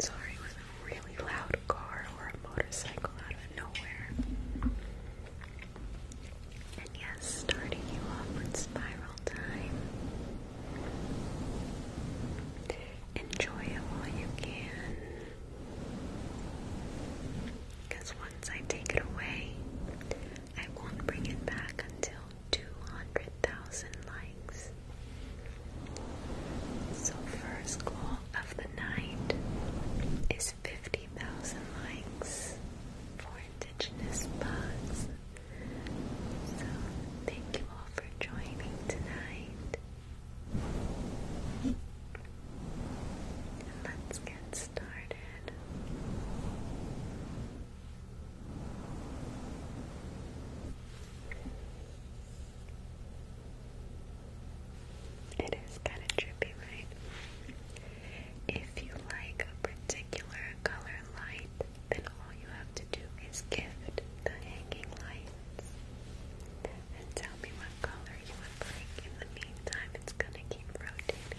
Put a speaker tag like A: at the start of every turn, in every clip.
A: Sorry, was a really loud car or a motorcycle out of nowhere.
B: yes, starting you off with spiral time. Enjoy while you can. Because once I take it away, I won't bring it back until 200,000 likes. So, first goal of the night is 50,000 likes for Indigenous Bugs. So, thank you all for joining tonight. let's get started. It is kind of trippy, right? If you like a particular color light, then all you have to do is gift the hanging lights and tell me what color you would like. In the meantime, it's gonna keep rotating. Good.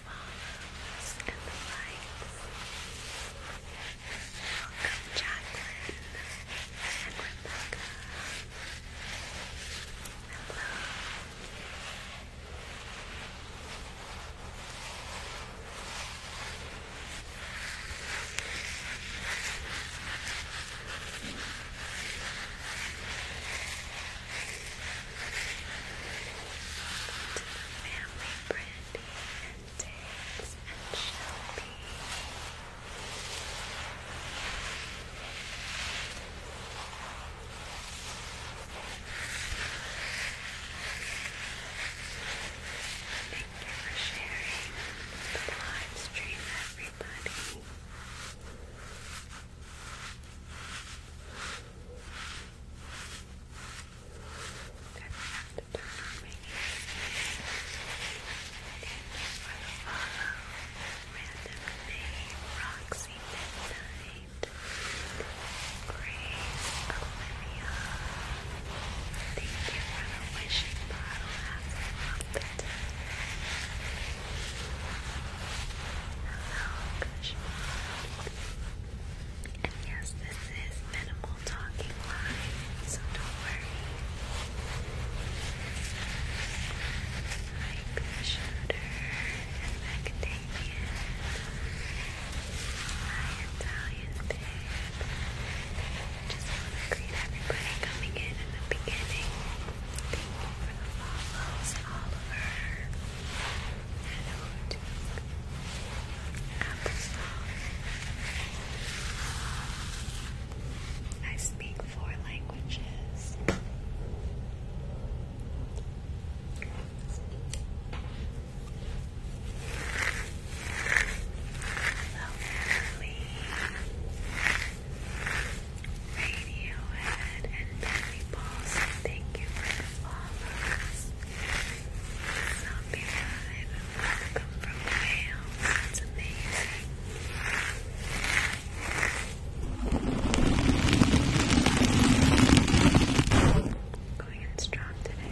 B: flowers and Welcome, Jacqueline and Welcome to the family and Diggs and Shelby. Thank you for sharing the live everybody. I forgot to turn on my Random name, Roxy Midnight, Grace Olivia. Thank you for wishing bottle. That's a little bit. Hello, yes, this is minimal talking live, so don't worry. Right the shoulder and Macadamia. My Italian babe. Just to greet everybody coming in in the beginning. Thank you for the follows, Oliver. Hello, I speak four languages. Lovely. Radiohead and Benny Balls, thank you for the follows zombie vibe welcome from Wales. That's amazing. Going in strong today.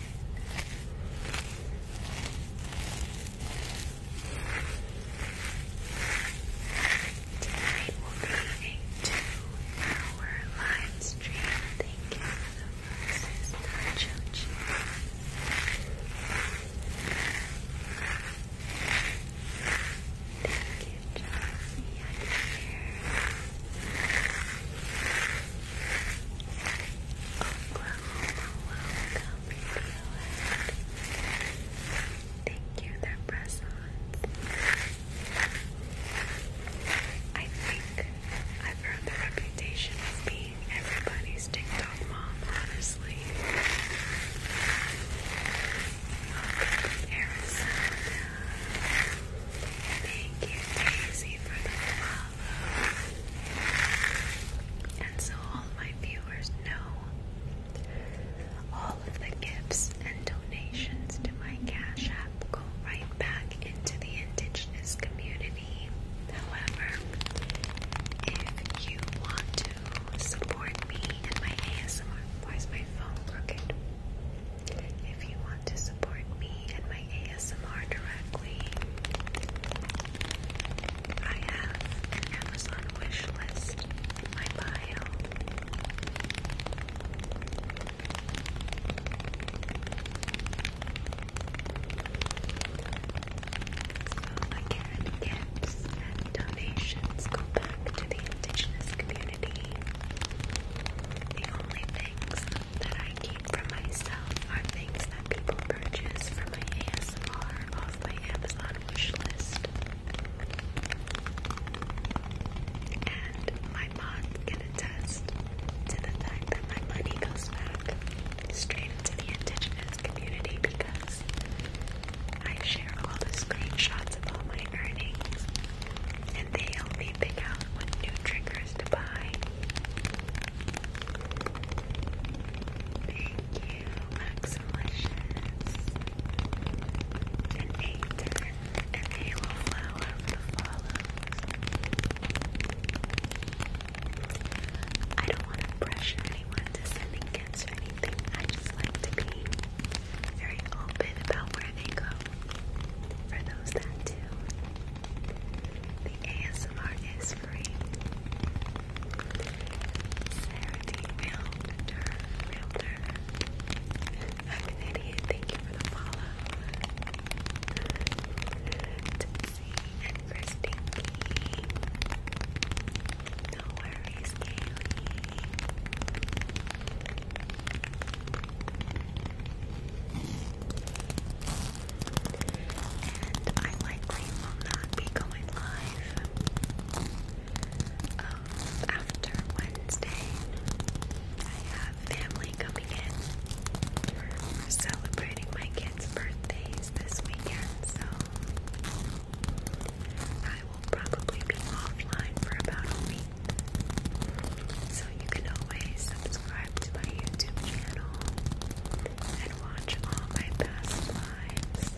B: Tonight will be a two-hour live stream. Thank you for the roses, Nacho Thank you, Josie. I'm here. Thank you, their presents. I think I've earned the reputation of being everybody's TikTok mom, honestly. Arizona. Thank you, Daisy, for the love. And so all my viewers know all of the gifts and donations to my Cash App go right back into the indigenous community. However, if you want to support me and my ASMR, why is my phone crooked? If you want to support me and my ASMR directly. I have Amazon wish list in my bio. gifts and donations go back to the indigenous community. The only things that I keep for myself are things that people purchase for my ASMR off my Amazon wish And my mom can attest to the fact that my money goes back straight into the indigenous community because I share all the screenshots of all my earnings and they help me pick out what new triggers to buy Thank you, Maxilicious. An and
C: they will I don't want to pressure anyone to sending gifts or anything. I just like to be very open about where they go. For those that do.
B: The ASMR is free. Sarah D. Realtor. Realtor. Thank you for the follow. Tipsy and Christine No worries, Kaylee and I likely will not be going live um, after Wednesday. I have family coming in. we celebrating my kids' birthdays this weekend, so I will probably be offline for about a week. So you can always subscribe to my YouTube channel and watch all my past lives.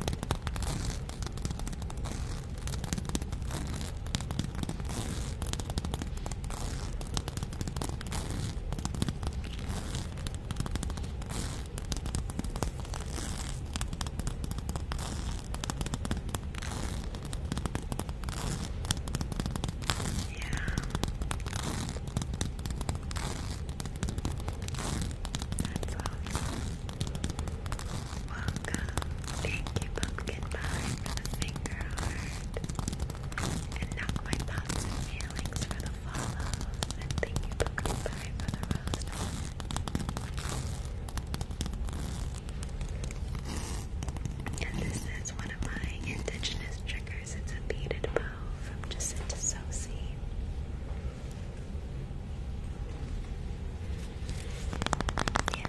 B: That's awesome. Welcome. Thank you, Pumpkin Pie, for the finger heart. And not my thoughts feelings for the follow. And thank you, Pumpkin Pie, for the rose. And this is one of my indigenous triggers. It's a beaded bow from Jacinta Sosi. Yes,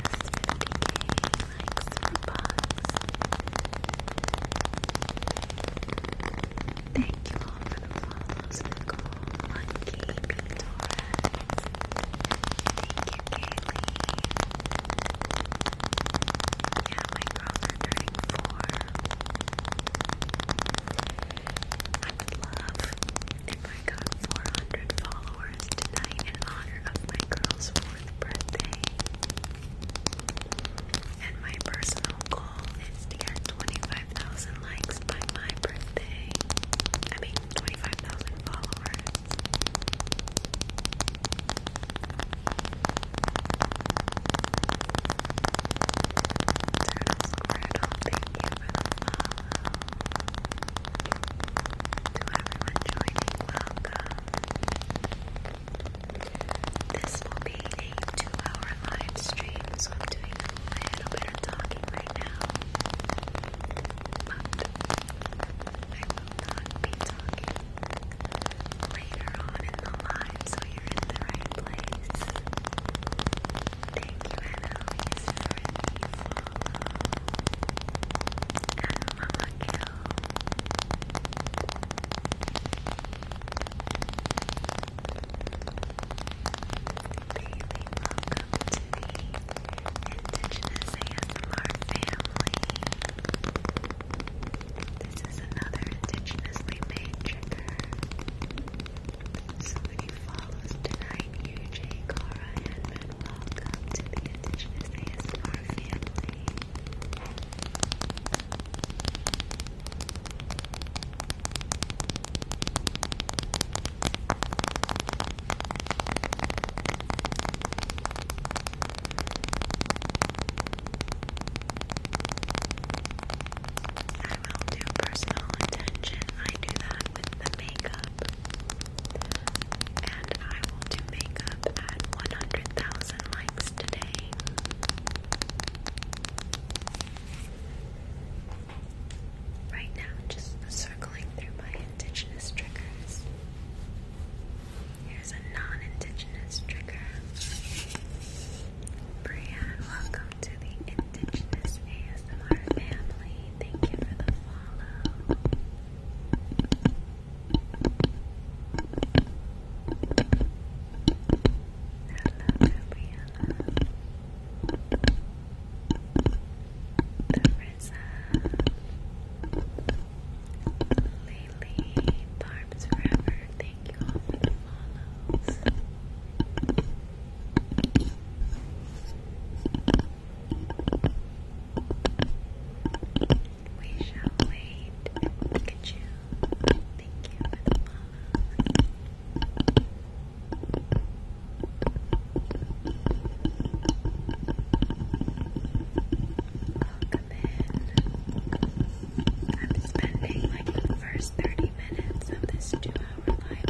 B: 50k likes for bugs. Thank you for the follows, Nicole, Monkey, B. Torres. Thank you, Kaylee. Yeah, my girls are dirty for. I would love if I got 400 followers tonight in honor of my girl's fourth birthday. And my personal goal is to get 25,000 likes by my birthday. I mean, 25,000 followers everyone joining, welcome. This will be a two-hour live stream, so I'm doing a little bit of talking right now. I will not be talking later on in the so you're in the right place. Thank you, Anna, for the follow. And Mama Kill. Bailey, welcome to the Indigenous family. This is another indigenously made trigger. So many follows tonight, UJ, Cara, and Ben. Welcome to the Indigenous ASMR family. I will do personal attention. I do that with the makeup. And I will do makeup at 100,000 likes today. Right now, just circling through my indigenous triggers. Here's a non indigenous trigger. Brianne, welcome to the Indigenous ASMR family. Thank you for the follow. Hello, Gabriella. Larissa. Lily, Barb's Forever. Thank you We shall wait. Look at you. Thank you for the follows. Welcome I'm spending like the first 30 minutes of this two hour live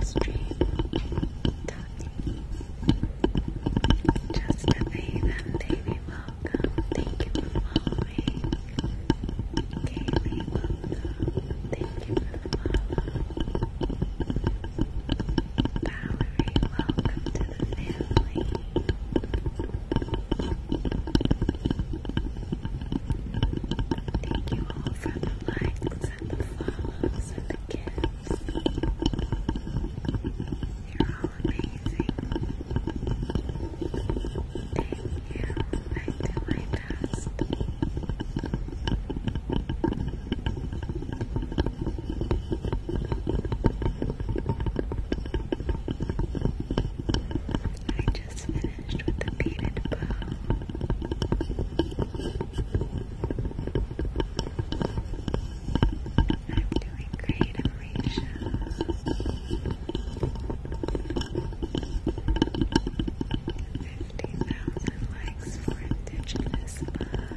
B: Just to pay them, baby, welcome. Thank you for following. Kaylee, welcome. Thank you for the Valerie, welcome to the family. Thank you all for the likes and the follows and the gifts. You're all amazing. Thank you. I do my I just finished with the beaded bow. I'm doing great, Amrisha. 50,000 likes for Indigenous Bugs.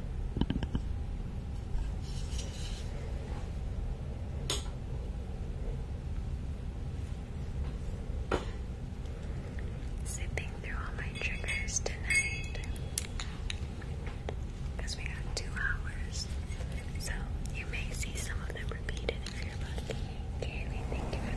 B: Zipping through all my triggers tonight because we got two hours. So you may see some of them repeated if you're lucky. Kaylee, thank you for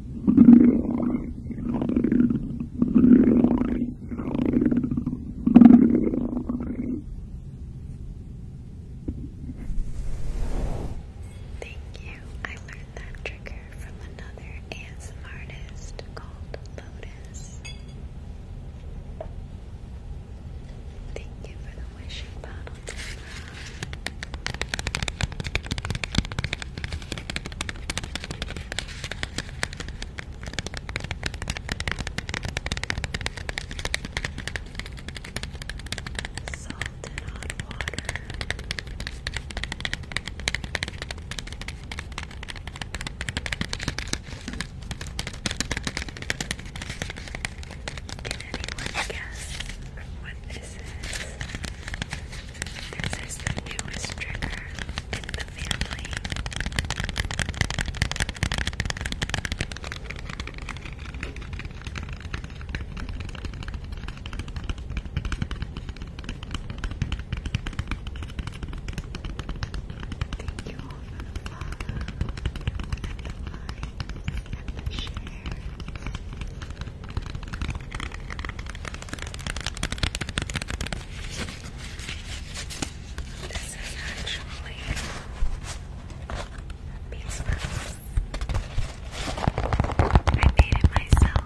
B: Thank you. I learned that trigger from another ASMR artist called
C: Lotus. Thank you for the wishing bottle. Tamara. Salt and water. Can anyone guess what this is? This is the newest trigger in the family. the follow, and the like, and the share. This is actually beats I made it myself.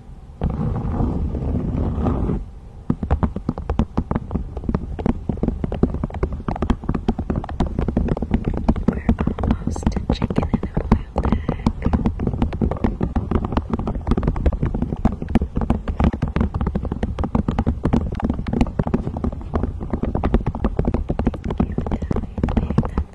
C: We're almost to chicken in a wild egg. Thank you, Thank you, so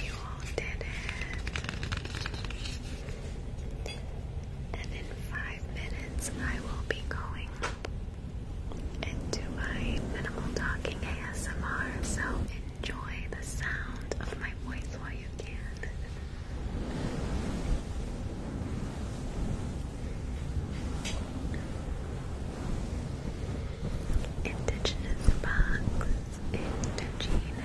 B: You all did it. And in five minutes, I will be going into my minimal talking ASMR, so enjoy the sound of my voice while you can. Indigenous box, indigenous,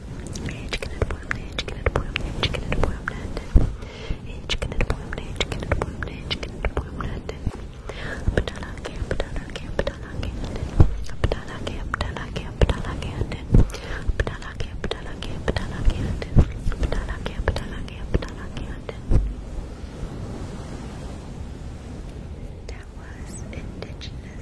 B: chicken and boiled, chicken and boiled, chicken and boiled, chicken and boiled, chicken and boiled, chicken and boiled, patala ke, patala ke, patala ke, That was indigenous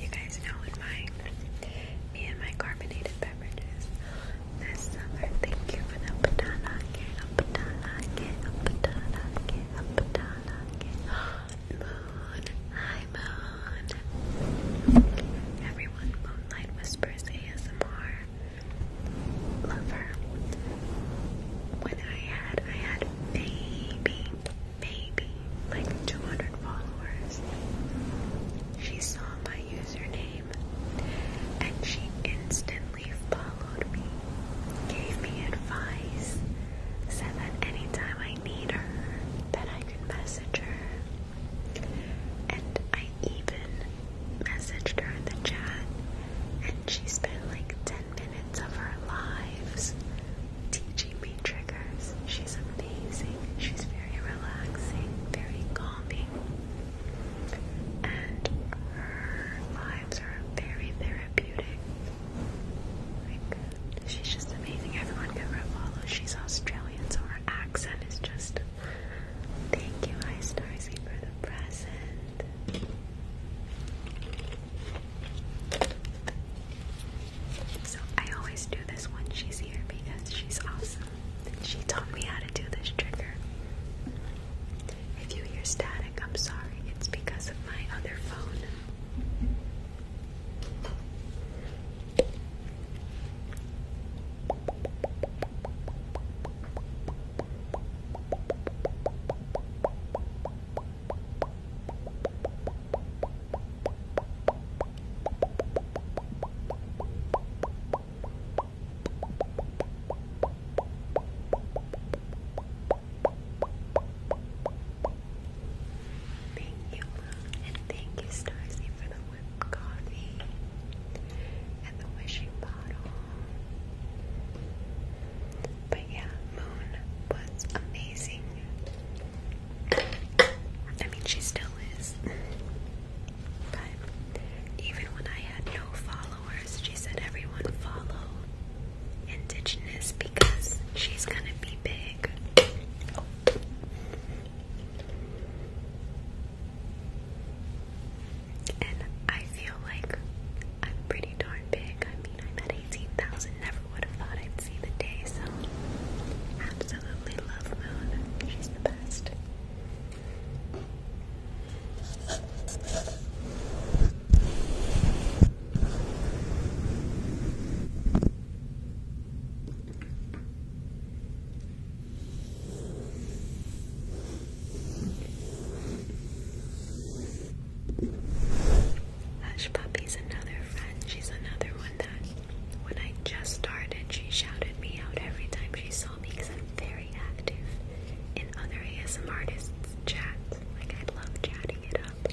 B: You guys know my me and my carbonated beverages this summer. Thank you for the patana get a patana get a patana get a patana moon. Hi moon. Everyone, Moonlight Whispers ASMR lover. When I had, I had maybe, maybe like 200 followers. She saw my username and she instantly followed me, gave me advice, said that anytime I need her, that I could message her. And I even messaged her in the chat and she spent like 10 minutes of our lives teaching me triggers. She's amazing. She's very relaxing, very calming. And her lives are very therapeutic. Like, she's just amazing. Everyone can follow. She's Australian, so her accent is just. Thank you, Ice Starsy, for the present. So I always do this when she's here because she's awesome. She taught me how to do this trigger. If you hear static, I'm sorry. It's because of my other phone. Thank you, and thank you, Starzy, for the whipped coffee and the wishing bottle. But yeah, Moon was amazing. I mean, she still is. But even when I had no followers, she said everyone follow Indigenous because she's gonna be big. And I feel like I'm pretty darn big. I'm at 18,000. Never would have thought I'd see the day, so absolutely love Moon. She's the best. Hush Puppy's another friend. She's another one that when I just started, she shouted me out every time she saw me because I'm very active in other ASM artists' chat Like, I love chatting it up.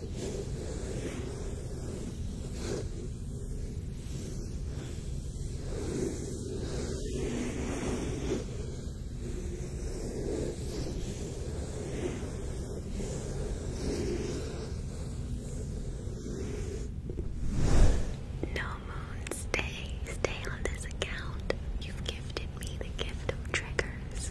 B: No moon, stay, stay on this account. You've gifted me the gift of triggers.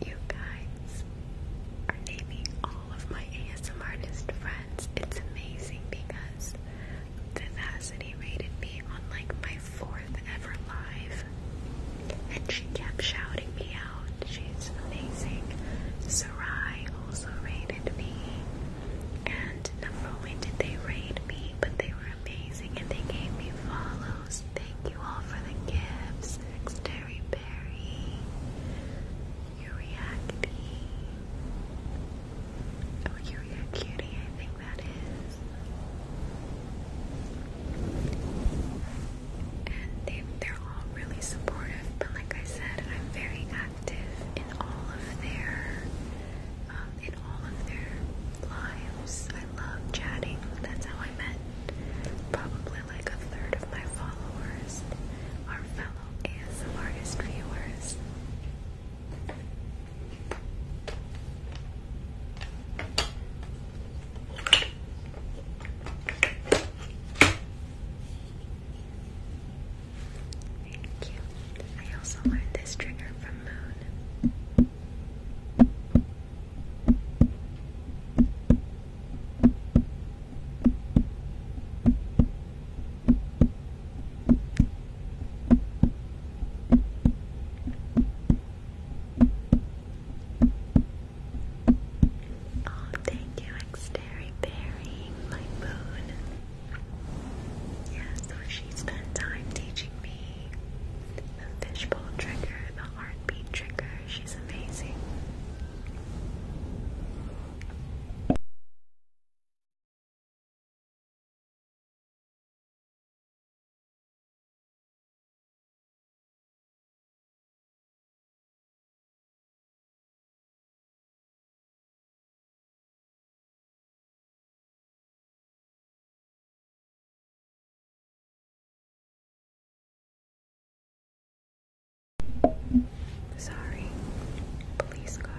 B: You guys are naming all of my ASM artist friends. It's amazing because Vivacity rated me on like my fourth ever live and she kept shouting me out. She's amazing. Sarai also rated me. And number when did they rate me? But they were amazing and they gave me follows. Thank you all for the gifts. Terry Berry. Uriacti. Oh, Uria I think that is and they they're all really supportive. But like I said, I'm very active in all of their um, in all of their lives. I love chatting. That's how I met probably like a third of my followers Our fellow ASM viewers. Thank you. I also learned this trigger from Moon.
A: Oh, thank you, Xterry Berry, my moon. Yeah, so she spent time teaching me the fishbowl trigger, the heartbeat trigger. She's amazing.
B: Sorry, police car.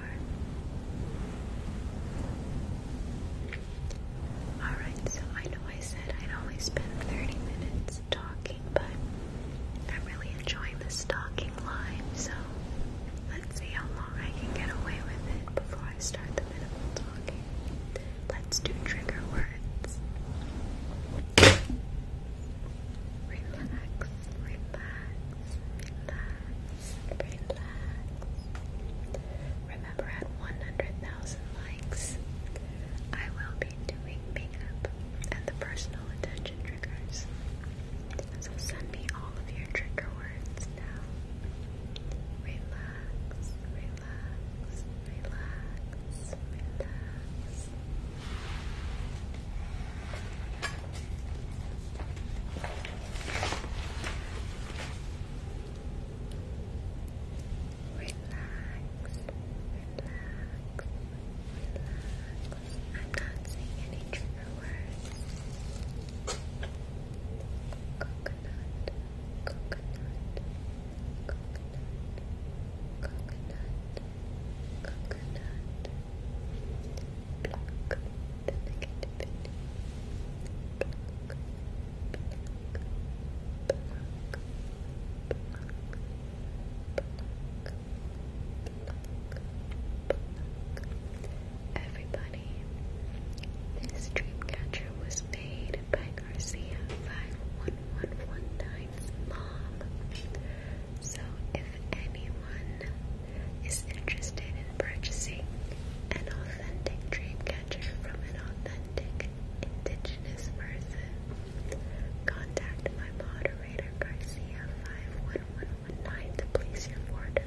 B: Alright, so I know I said I'd only spend 30 minutes stocking, but I'm really enjoying this talking line, so let's see how long I can get away with it before I start the minimal talking. Let's do trigger words. Relax, relax, relax, relax. Remember, at 100,000 likes, I will be been doing makeup and the personal attention triggers. So send me all of your trigger words now. Relax, relax, relax, relax
C: relax, relax, relax. I'm not saying any trigger words. Coconut, coconut, coconut,
B: coconut, coconut. Block the negativity. Block, block, block, block. Everybody, this dreamcatcher was made by Garcia 51119's mom.
C: So if anyone is interested in purchasing an authentic dreamcatcher from an authentic indigenous person,
B: Contact my moderator Garcia five one one one nine to place your order.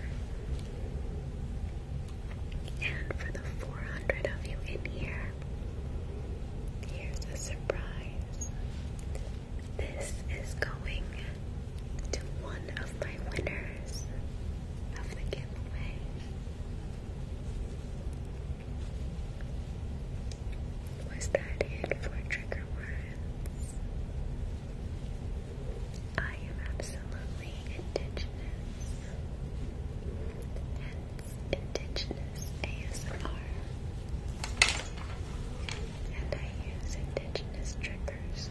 B: And for the four hundred of you in here, here's a surprise. This is going to one of my winners of the giveaway. Was that it for trigger words? I am absolutely indigenous. Hence, indigenous ASMR. And I use indigenous triggers.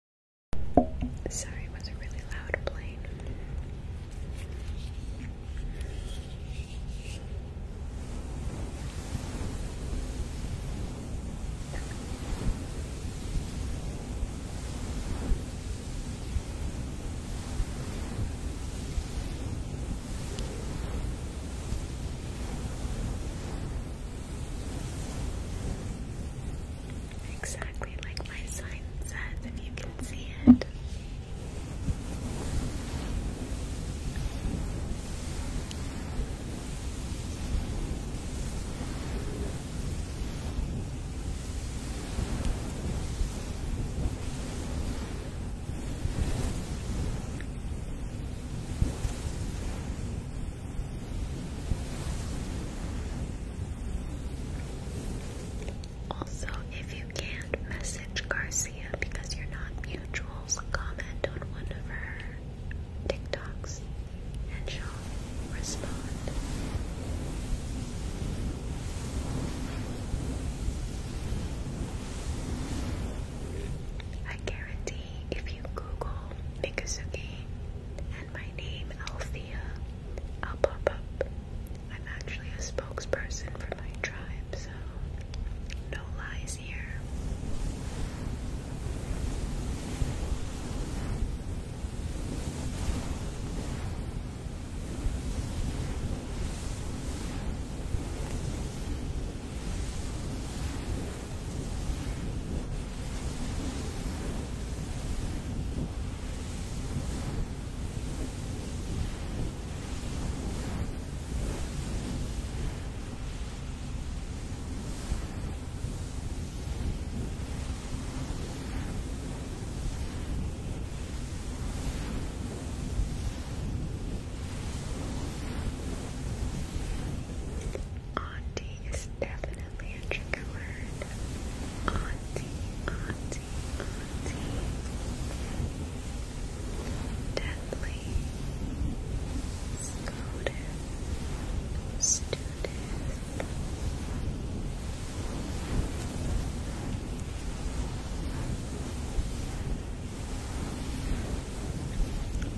A: Sorry, it was a really loud plane. Exactly like my sign
B: says, if you can see it. Also, if you can't message Garcia because you're not mutuals, comment on one of her TikToks and she'll respond. I guarantee if you Google Mikasugi my name Althea. I'll pop up. I'm actually a spokesperson for my tribe, so no lies here. Auntie is definitely a trigger word. Auntie, auntie deadly, scolded, student.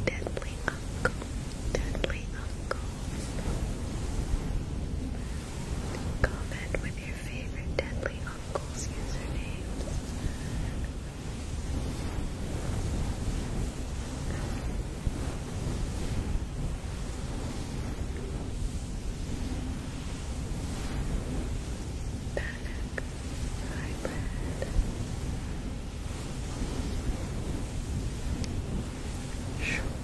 B: Deadly uncle, deadly uncle, Comment with your favorite Deadly Uncle's usernames. Panic Hybrid Short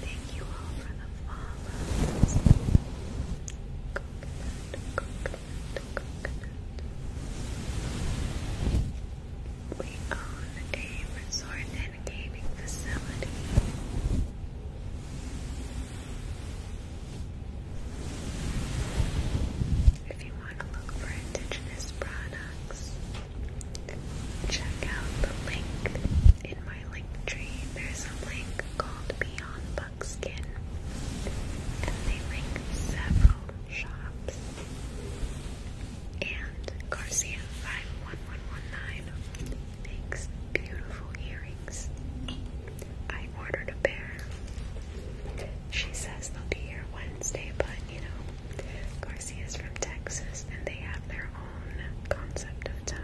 B: Thank you all for the follows. Coconut, coconut, We own a resort and gaming facility. If you want to look for indigenous products, check out the link in my link tree. There's a link called Beyond Buckskin, and they link several shops. And Garcia 51119 makes beautiful earrings. I ordered a pair she says they'll be here Wednesday, but you know, Garcia's from Texas and they have their own concept of time.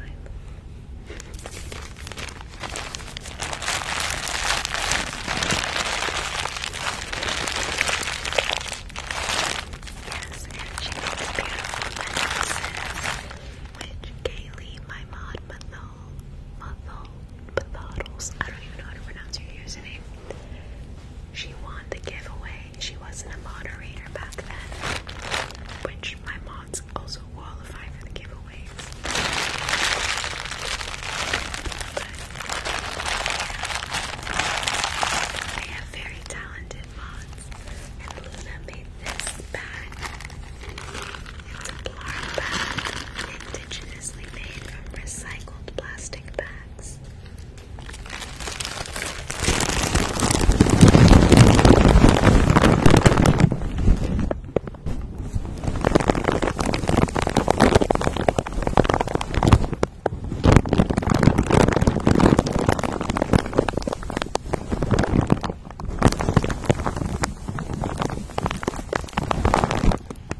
B: Yes, and she makes beautiful necklaces, which Kaylee, my mod, below Bathodals. I don't even know how to pronounce her username. She won the giveaway. She wasn't a moderator back then, which my mods also qualify for the giveaways. But have very talented mods, and Luna made this bag. It's a black bag, indigenously made from recycled recycled plastic bags.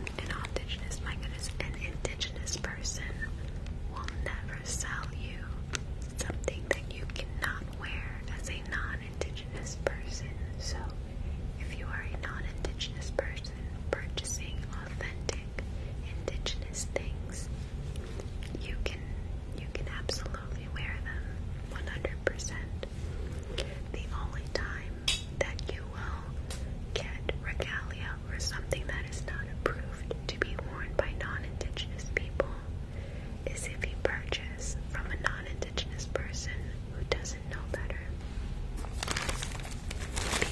B: An indigenous, my goodness, an indigenous person will never sell you something that you cannot wear as a non-indigenous person. So if you are a non-indigenous person purchasing authentic indigenous things, you can you can absolutely wear them 100%. The only time that you will get regalia or something that is not approved to be worn by non-indigenous people is if you purchase from a non-indigenous person who doesn't know better.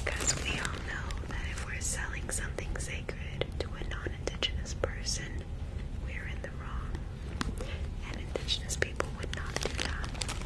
B: Because we all know that if we're selling something sacred to a non-indigenous person, we're in the wrong. And indigenous people would not do that.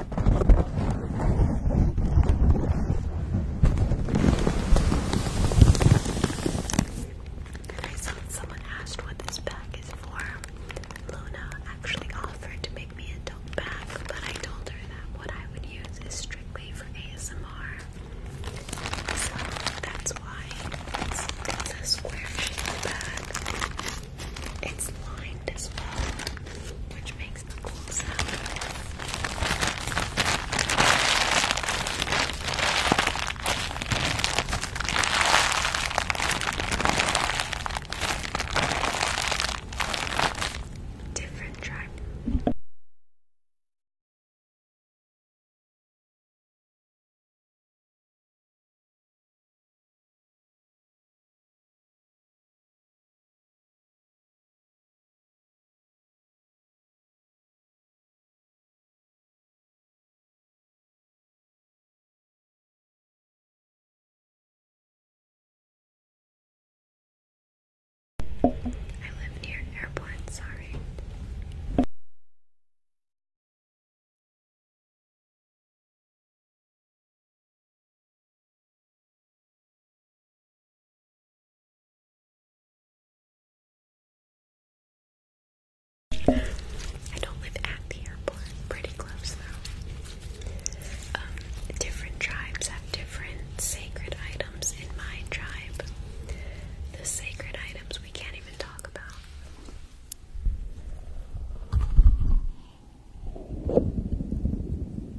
C: I saw someone asked what this bag is for. Luna actually offered
B: to make me a tote bag, but I told her that what I would use is strictly for ASMR. So that's why it's a square shaped bag. It's lined as well, which makes makes the Different track.
A: I live near an airport, sorry.
B: I don't live at the airport, pretty close though. Um, different tribes have different sacred items. In my tribe, the sacred items we can't even talk about. I'm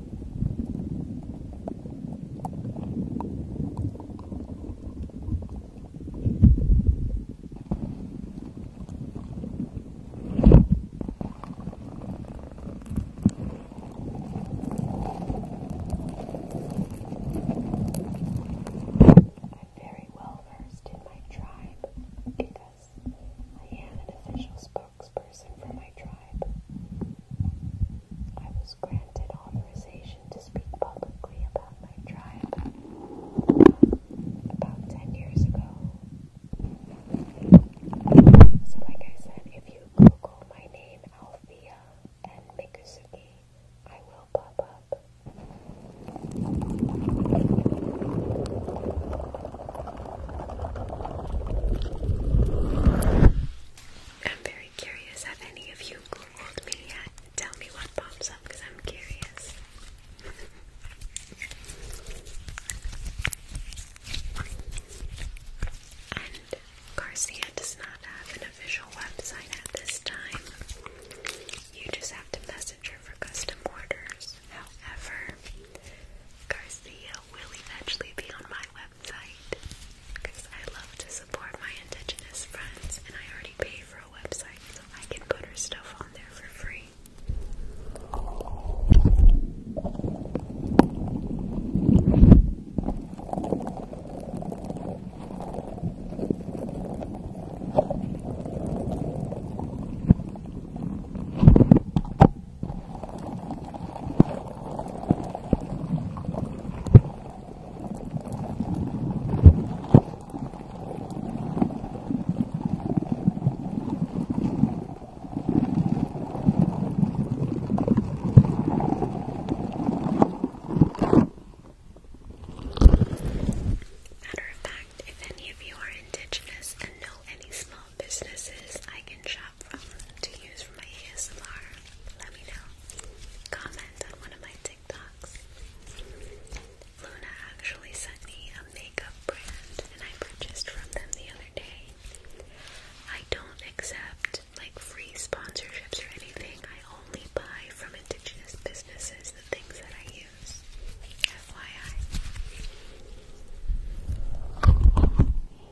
B: very well versed in my tribe because I am an official spokesperson for my tribe. I was granted authorization to speak publicly about my tribe about 10 years ago. So, like I said, if you Google my name, Althea, and Mikusuki, I will pop up. I'm very curious. Have any of you Googled me yet? Tell me what pops up because I'm curious. and Garcia does not have an official website at this time. You just have to message her for custom orders. However, Garcia will eventually be on my website because I love to support my indigenous friends and I already pay for a website so I can put her stuff on there for free. Matter of fact, if any of you are indigenous and know any small businesses, I can shop to use for my ASMR, let me know. Comment on one of my TikToks. Luna actually sent me a makeup brand and I purchased from them the other day. I don't accept like free sponsorships or anything. I only buy from indigenous businesses the things that I use. FYI. To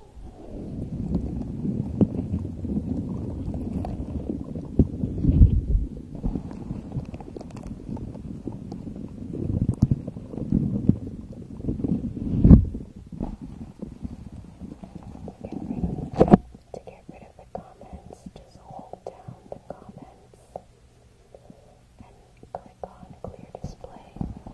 B: get rid of the comments, just hold down the comments and click on clear display.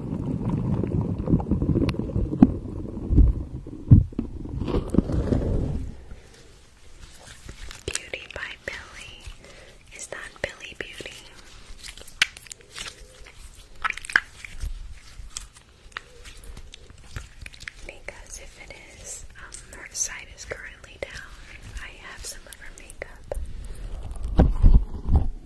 B: Beauty by Billy. Is that Billy Beauty? Because if it is, um, her side is currently down. I have some of her makeup.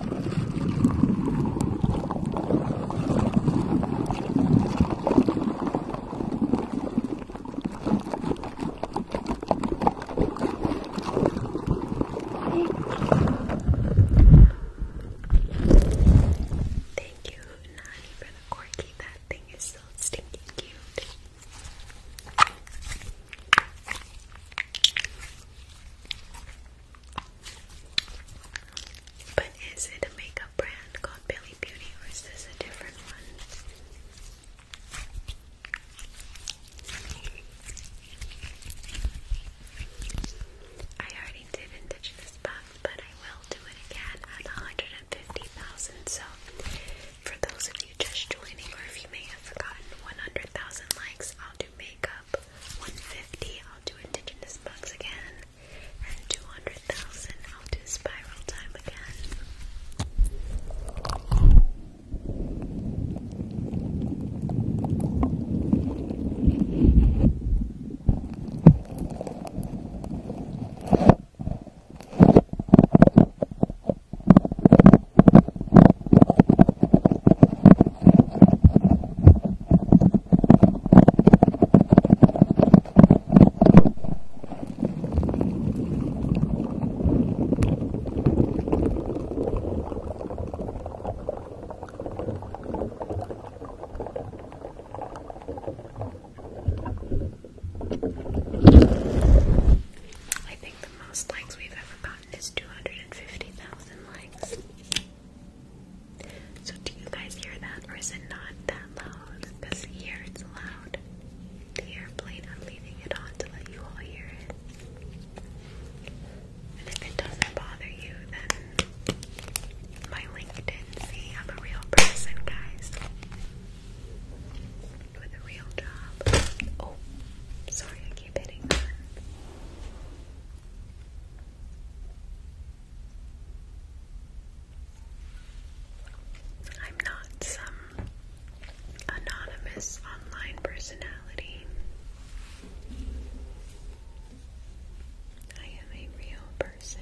B: Thank you, Nani, for the corky. That thing is so stinking cute. But is it a makeup brand called Billy Beauty or is this a different one? I already did Indigenous Bucks, but I will do it again at 150,000. So, for those of you just joining, or if you may have forgotten 100,000 likes, I'll do makeup, 150 I'll do indigenous mugs again, and 200,000 I'll do spiral time again. I think the most likes we've ever gotten is 250,000 likes. So do you guys hear that or is it not that loud? Because here it's loud. The airplane, I'm leaving it on to let you all hear it. And if it doesn't bother you, then my LinkedIn, see, I'm a real person, guys. With a real job. Oh, sorry, I keep hitting that. I'm not some anonymous online personality. I am a real person.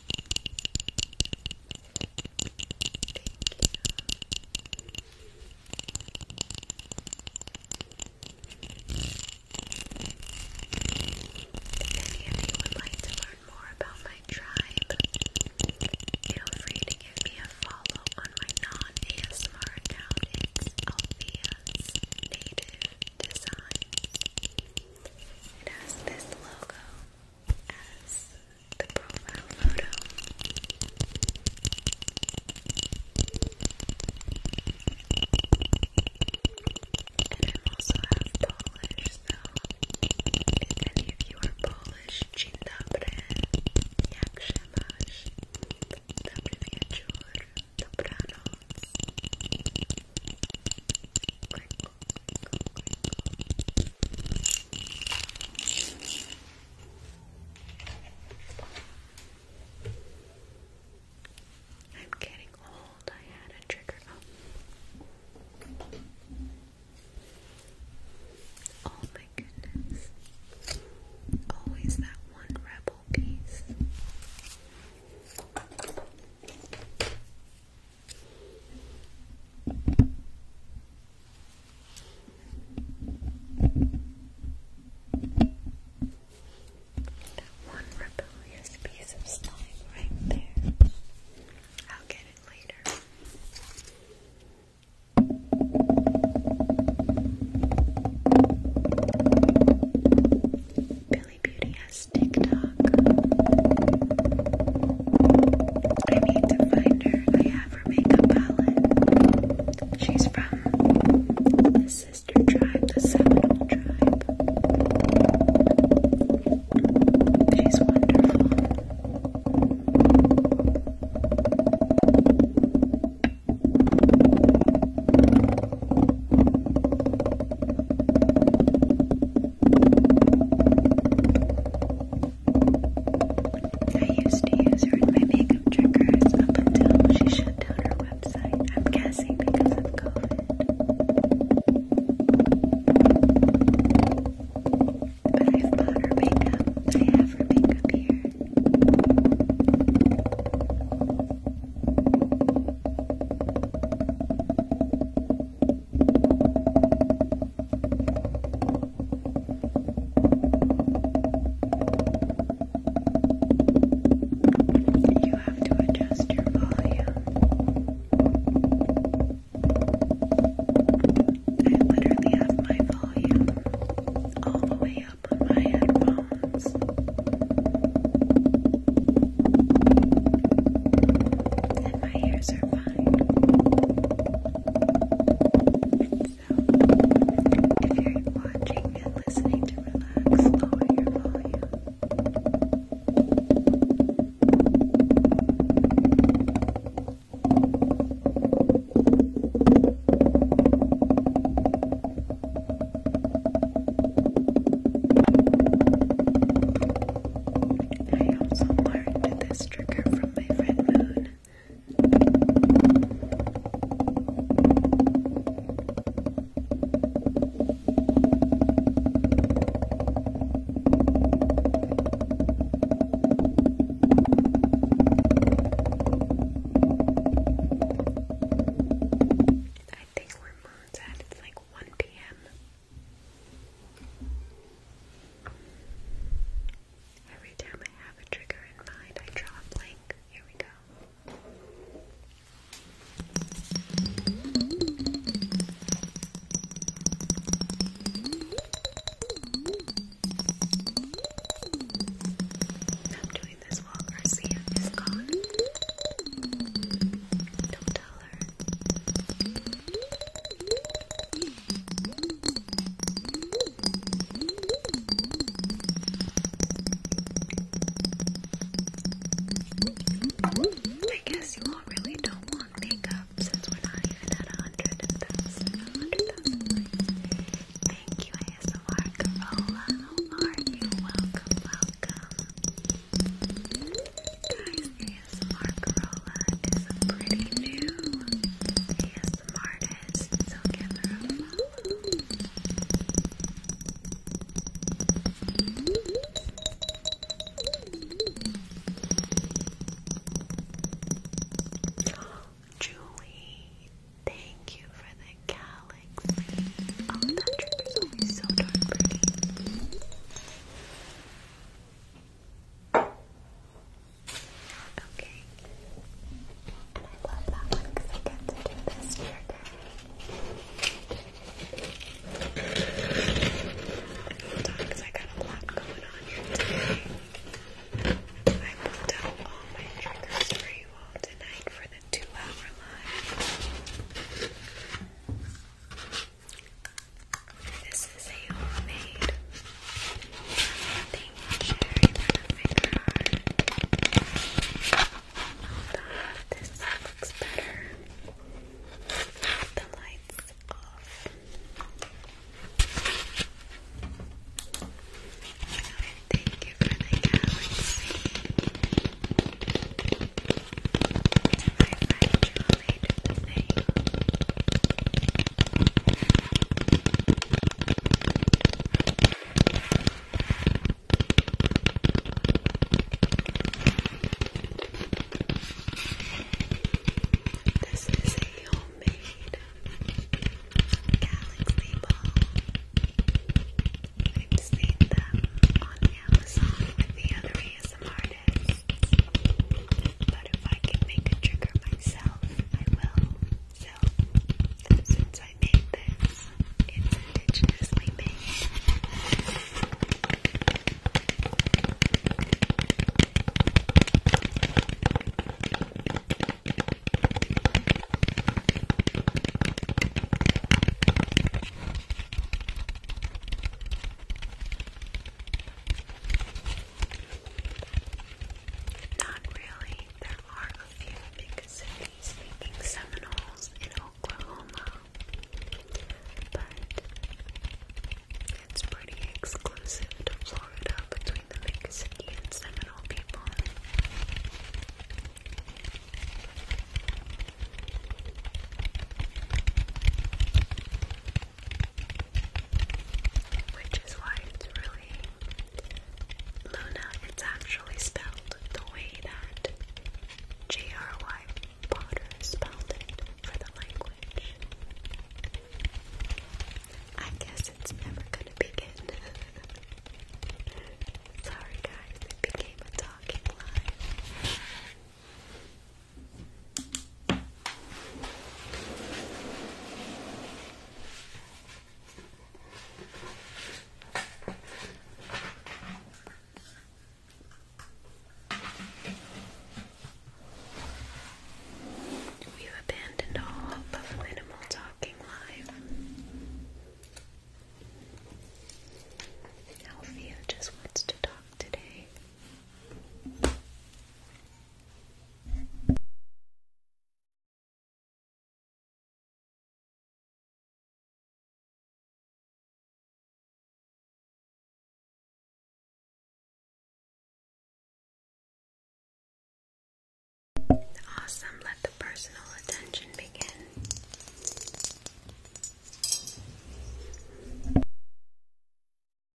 B: If you would like to learn more about my tribe, feel free to give me a follow on my non ASMR account. It's Althea's Native Designs. It has this logo as the profile photo. And I also have Polish, so if any of you are Polish, dzień dobry, jak się masz, dobry wieczór, dobranoc, good I'm getting old. I had a trigger. Oh, oh my goodness. Always that one rebel piece. That one rebellious piece of slime right there. I'll get it later. Lily Beauty has TikTok. I need to find her. I have her makeup palette. She's from the sister tribe, the Seminole tribe. She's wonderful. I used to use her makeup triggers up until she shut down her website. I'm guessing because of COVID. But I've bought her makeup. I have her makeup here. You have to adjust your volume. I literally have my volume all the way up on my headphones. And my hairs are fine. So, if you're watching and listening to relax, lower your volume. I also learned this trigger from my friend Moon. I think where Moon's at, it's like 1 p.m. Every time I have a trigger in mind, I draw a blank. Here we go. I'm doing this while Garcia is gone. Don't tell I guess you all really don't want makeup since we're not even at a hundred thousand, Thank you, ASMR Corolla. How are you? Welcome, welcome. Guys, ASMR Corolla is a pretty new ASMR artist, so give her a follow. Julie, thank you for the galaxy. Oh, that trigger's always so darn pretty. Okay. I love that one because I get to do this for day. Because I got a lot going on here today. I pulled out all my triggers for you all tonight for the two hour live. This is a homemade nothing cherry lemon This looks better the lights off. Thank you for the galaxy. This is a homemade galaxy ball. I've seen them on Amazon the other ASMR some artists, but if I can make a trigger myself, I will. since I made this, it's indigenously made. Not really. There are a few big cities speaking Seminoles in Oklahoma, but it's pretty exclusive to Florida between the big city and Seminole people. Which is why it's really Luna. It's actually spelled the way that J.R.Y. Potter spelled it for the language. I guess it's never gonna begin. Sorry guys, it became a talking line. We've abandoned all of minimal talking live. Althea just wants to talk today. Awesome, let the personal attention begin.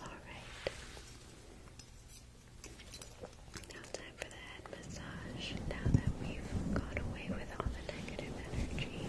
B: Alright. Now time for the head massage. Now that we've got away with all the negative energy.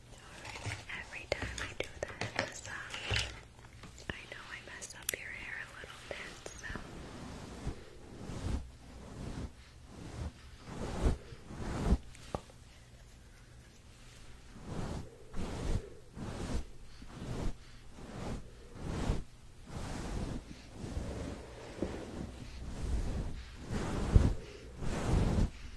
B: Every time I do that um, I know I messed up your hair a little bit, so.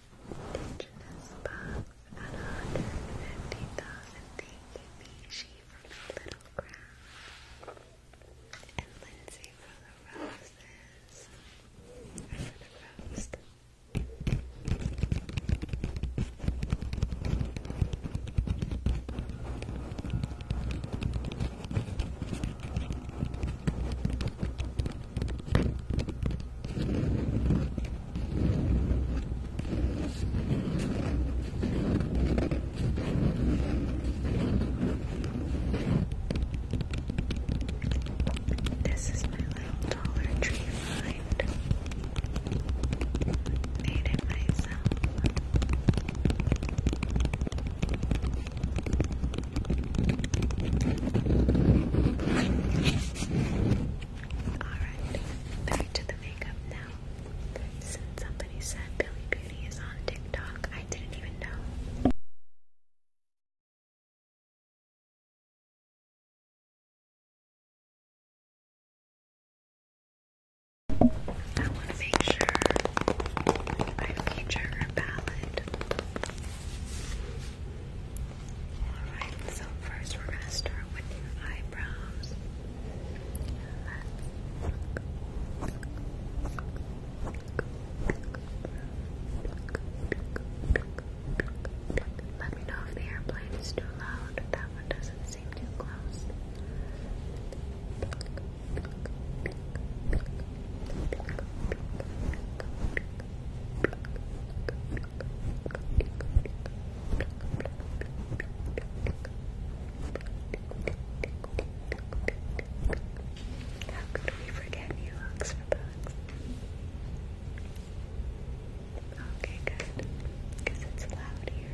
B: indigenous pups at 150,000 DKB. She from the Little Crown and Lindsay from the Roses. I the Rose. Thank you this is my little dollar tree find. Made it myself. Alright, back to the makeup now. Since somebody said Billy Beauty is on TikTok, I didn't even know. I want to make sure I feature her palette. Alright, so first we're gonna start with your eyebrows. Let me know if the airplane is too loud. That one doesn't seem too close. How could we forget you, Hugs Okay, good. Because it's loud here.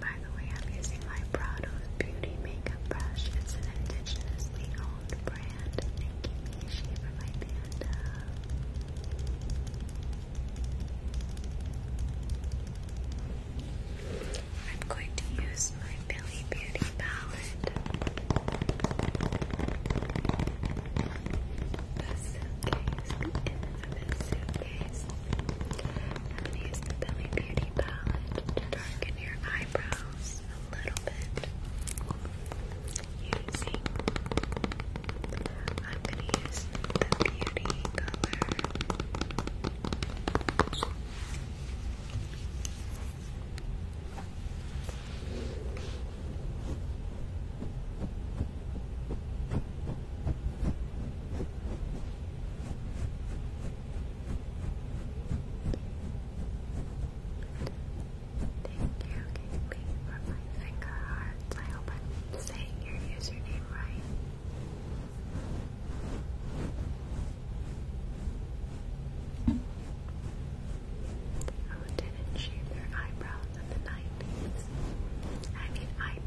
B: By the way, I'm using my Prado's Beauty Makeup Brush. It's an indigenously owned brand. Thank you, Mishi, panda. I'm going to use my Billy Beauty palette. The suitcase. The suitcase. I'm going Billy Beauty pretty palette darken your eyebrows a little bit. Using, I'm gonna use the beauty color. Thank you, Gateway, for my finger hearts. I hope I'm saying your username right. Oh, didn't shave their eyebrows in the 90s. I mean, I I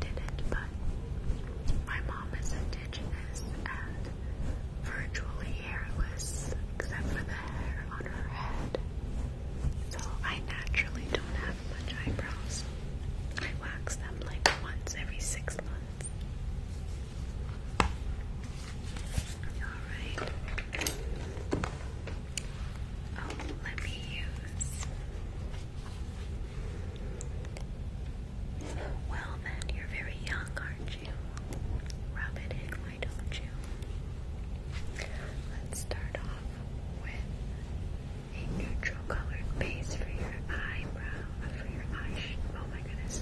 B: but my mom is indigenous and virtually hairless except for the hair on her head. So I naturally don't have much eyebrows. I wax them like once every six months. Alright. Oh, let me use well then, you're very young, aren't you? Rub it in, why don't you? Let's start off with a neutral colored base for your eyebrow, uh, for your eyes. Oh my goodness,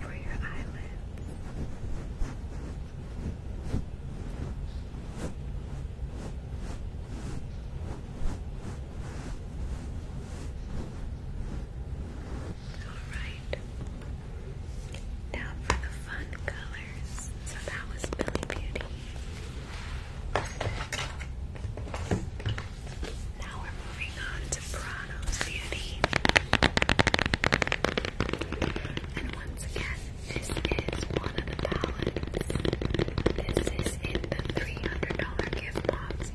B: for your eyelids. Alright. Now for the fun colors. So that was Billy Beauty. Now we're moving on to Prano's Beauty. And once again, this is one of the palettes. This is in the $300 gift box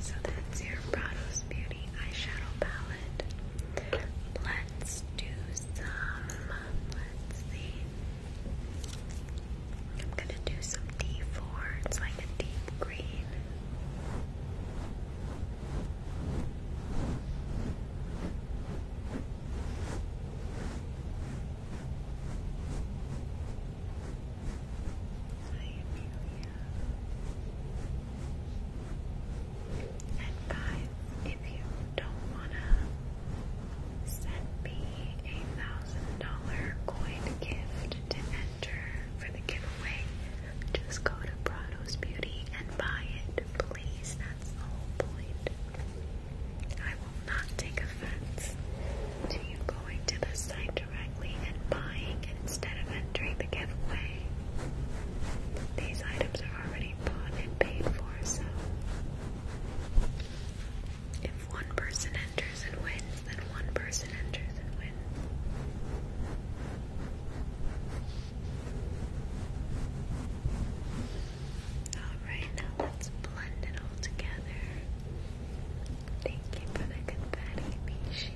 B: So that's your Prado's Beauty eyeshadow palette. Let's do some. Let's see. I'm gonna do some D4. It's like a deep green. And guys, if you don't wanna send me a thousand dollar coin gift to enter for the giveaway, just go to Prado's Beauty and buy it, please. That's the point. I will not take offense to you going to the site directly and buying instead of entering the giveaway. These items are already bought and paid for, so if one person enters and wins, then one person enters and wins. Alright, now let's blend it all together. Thank you for the good Mishi.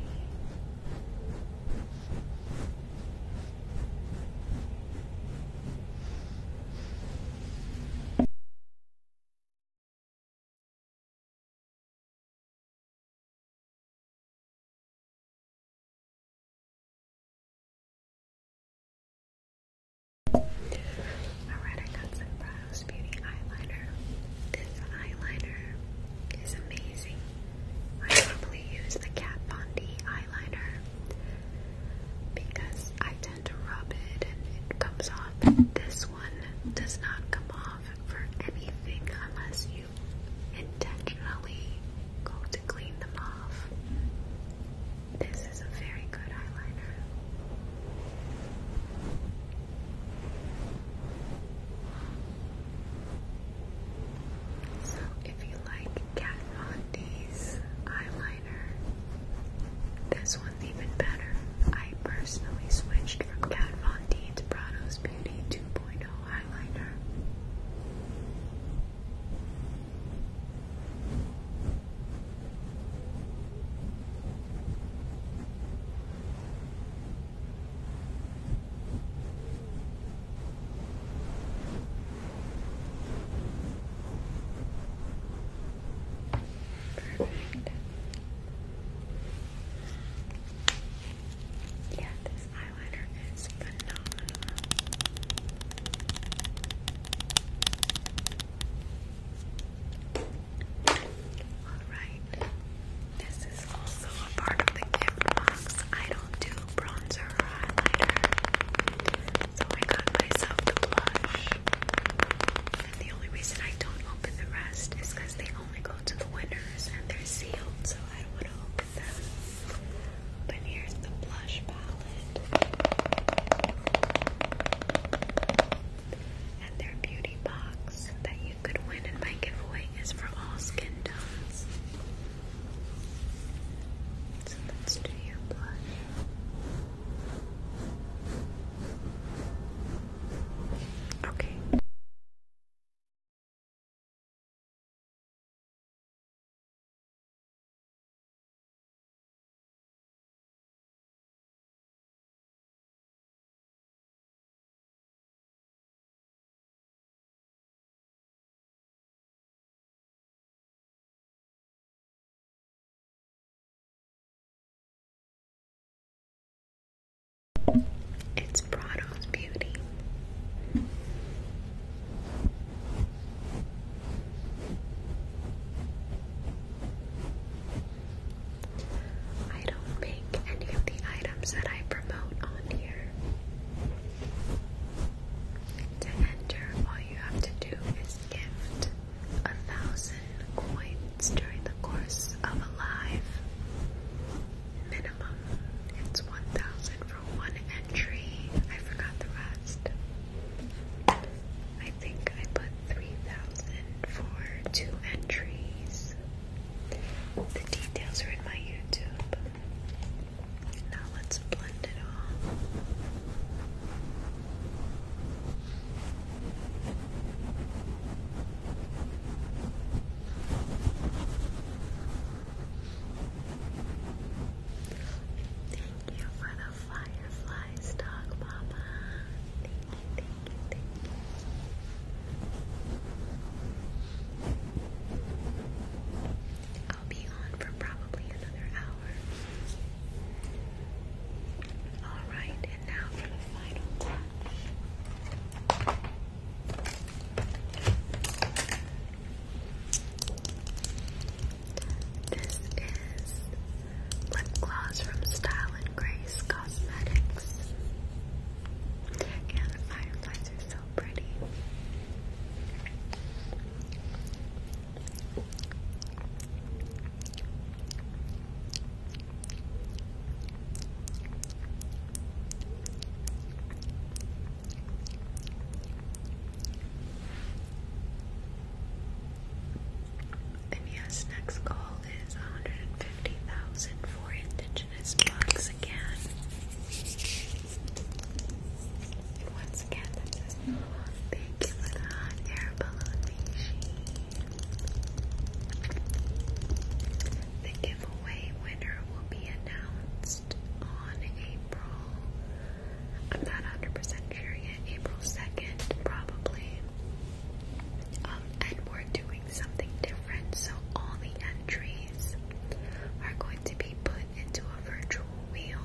C: Alright, I got Beauty eyeliner. This eyeliner is amazing. I normally use the Kat Von D eyeliner because I tend to rub it and it comes off. This
B: one does not come off for anything unless you intentionally go to clean them off. This is a very good eyeliner. So if you like Kat Von D's eyeliner, this one's even better. I personally switched from Kat Von D to Prado's Beauty 2.0 eyeliner. Perfect. Yeah, this eyeliner is phenomenal. All right. This is also a part of the gift box. I don't do bronzer or highlighter, so I got myself the blush. the only reason I don't open the rest is because they only go to the winners and they're sealed, so I don't want to open them. But here's the blush palette and their beauty box that you you could win in my giveaway is for all skin tones. Okay. It's Prado's beauty. I don't make any of the items that I promote on here. To enter, all you have to do is gift a thousand coins during the course of a live. Minimum, it's one thousand for one entry. I forgot the rest. I think I put three thousand for two entries. The details are in my YouTube. Now let's blend it all. Thank you for the firefly stock, Mama thank you. I'll be on for probably another hour. Alright, and now for the final touch. This is lip gloss from Style and Grace Cosmetics. Yeah, the fireflies are so pretty. And yes, next call is 150,000 for indigent. This box again. Once again, that says, thank you hot air balloon, The giveaway winner will be announced on April, I'm not 100 sure yet, April 2nd, probably. Um, and we something different, so all the entries are going to be put into a virtual wheel,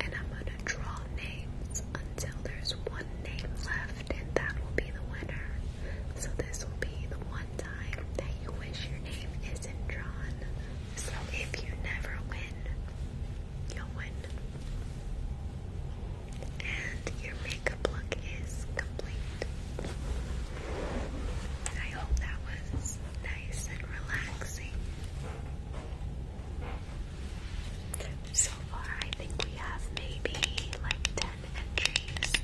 B: and I'm going to draw names until there's one name left, and that will be the winner. So, this will be the one time that you wish your name isn't drawn. So, if you never win, you'll win. And your makeup the pluck is complete. I hope that was nice and relaxing. So far, I think we have maybe like 10 entries.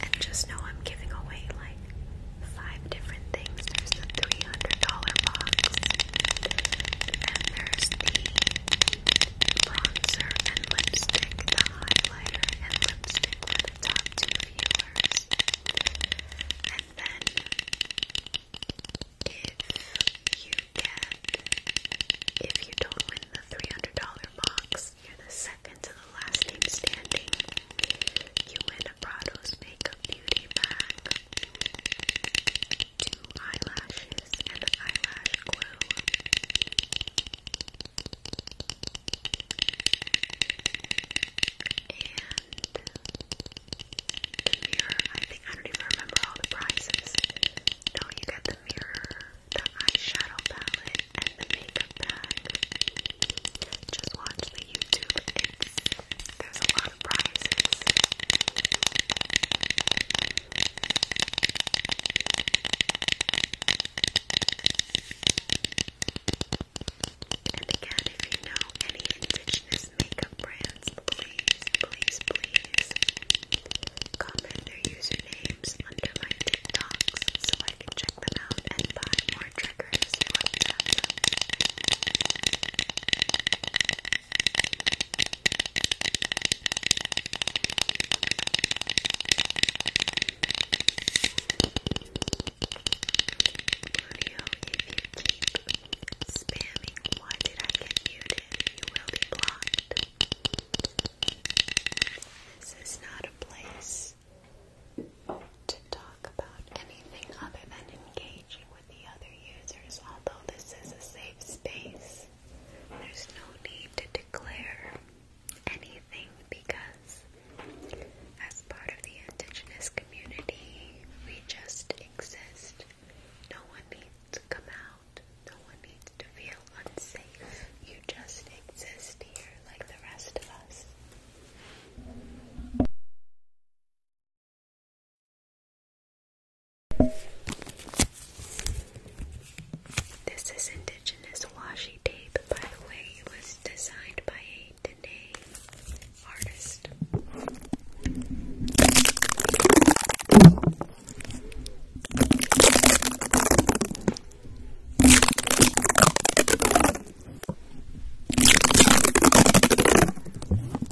B: And just know I'm giving away like five different things the $300 box. And there's the bronzer and lipstick, the highlighter and lipstick for the top two viewers. And then, if you get, if you don't win the $300 box, you're the second to the last team standing. You win a Prado's Makeup Beauty Bag two eyelashes, and eyelash glue. And the mirror, I think, I don't even remember all the prices. No, you get the mirror, the eyeshadow palette, and the makeup bag. Just watch the YouTube, there's a lot of prizes. And again, if you know any indigenous makeup brands, please, please, please comment their usernames under my TikToks so I can check them out and buy more triggers Mario, if you keep spamming, why did I get muted? You will be blocked. This is not a place to talk about anything other than engaging with the other users, although this is a safe space. There's no need to declare anything because, as part of the Indigenous community, we just exist. No one needs to come out, no one needs to feel unsafe. You just exist here like the rest of us. This is indigenous washi tape, by the way. It was designed by a Dene artist.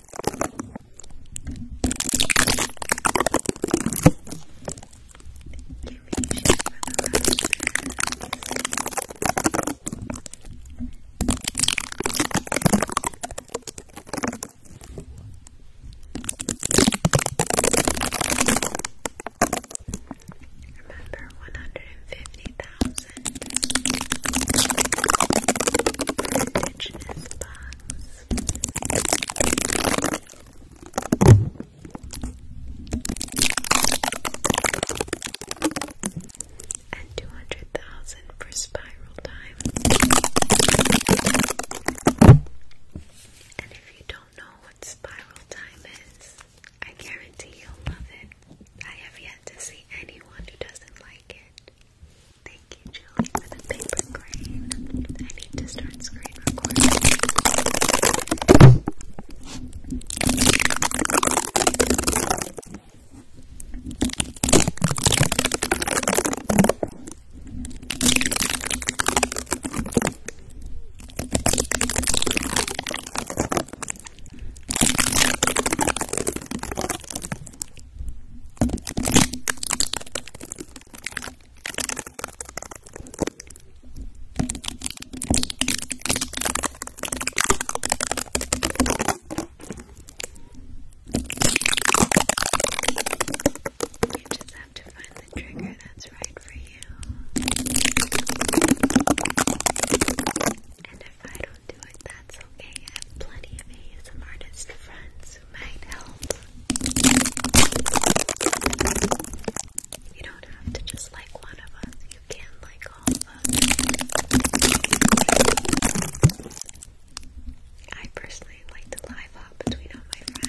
B: Remember, one hundred and fifty thousand indigenous bugs and two hundred thousand for spiral time. And if you don't know what spiral time is, I guarantee you'll love it. I have yet to see anyone who doesn't like it. Thank you, Julie, for the paper crane. I need to start screen recording. You just have to find the trigger that's right for you. And if I don't do it, that's okay. I have plenty of ASM artist friends you don't have to just like one of us, you can like all of us. I personally like the live up between all my friends.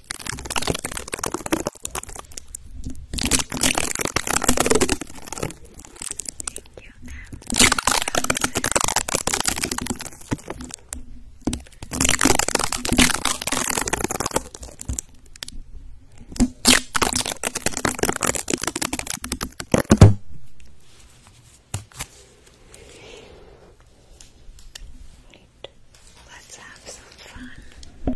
B: Right. Let's have some fun.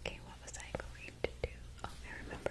B: Okay, what was I going to do? Oh, I remember.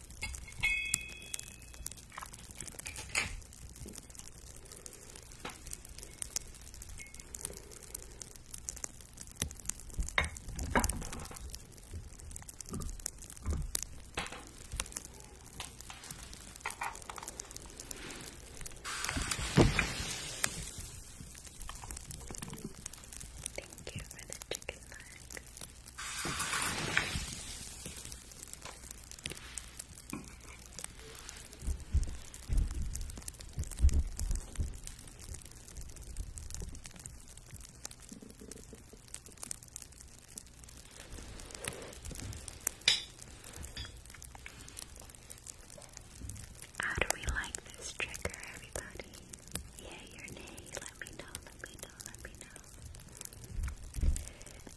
B: Thank you for the chicken leg. How do we like this trigger, everybody? Yeah, your name. Let me know. Let me know so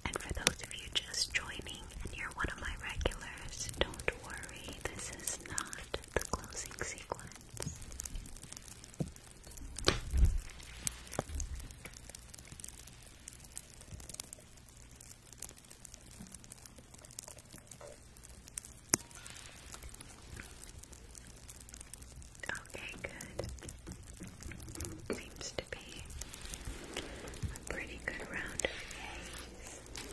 B: And for those of you just joining and you're one of my regulars, don't worry, this is not the closing sequence. Okay, good. Seems to be a pretty good round of gaze. Okay,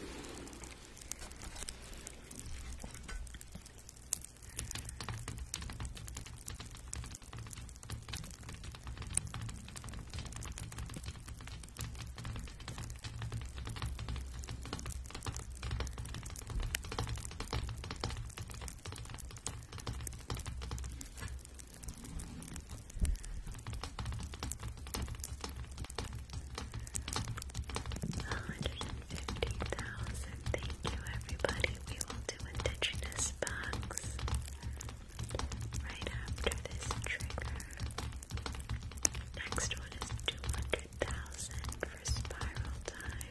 B: 150,000. Thank you, everybody. We will do Indigenous Box right after this trigger. Next one is 200,000 for Spiral Time.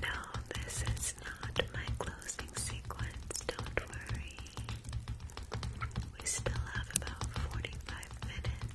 B: No, this is not my closing sequence, don't worry. We still have about 45 minutes.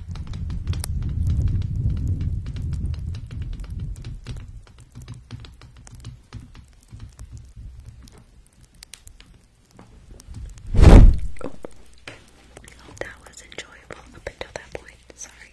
A: Oh, that was enjoyable up until that point. Sorry.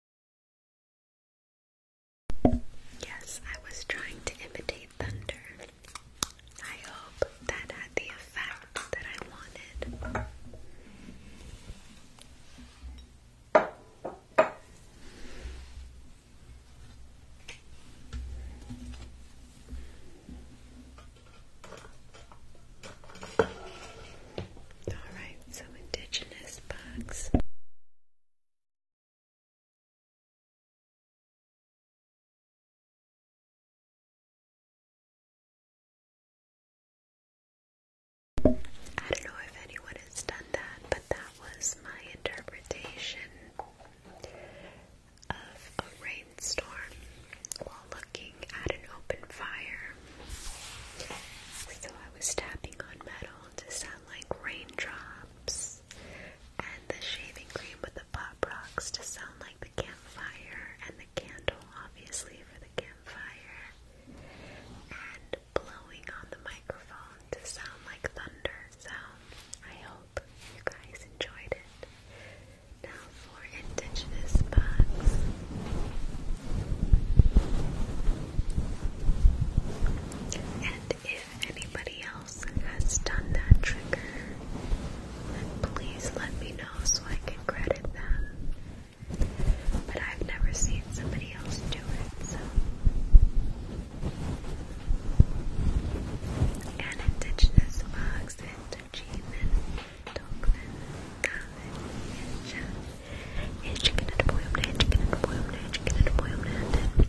A: Yes, I was trying to imitate thunder. I hope that had the effect that I wanted. All right, so indigenous bugs. I don't know if anyone has done that, but that was my interpretation
B: of a rainstorm while looking at an open fire. So I was tapping on metal to sound like raindrops and the shaving cream with the pop rocks to sound like the campfire, and the candle, obviously, for the campfire, and blowing on the microphone to sound like thunder. Sound. I hope you guys enjoyed it. Now for Indigenous Bugs if anybody else has done that trigger, please let me know so I can credit them. But I've never seen somebody else do it, so. An indigenous fox and Cheeman, Tokman, Common, Incha, Inchigan and Boyum, Inchigan and Boyum, Inchigan and Boyum, and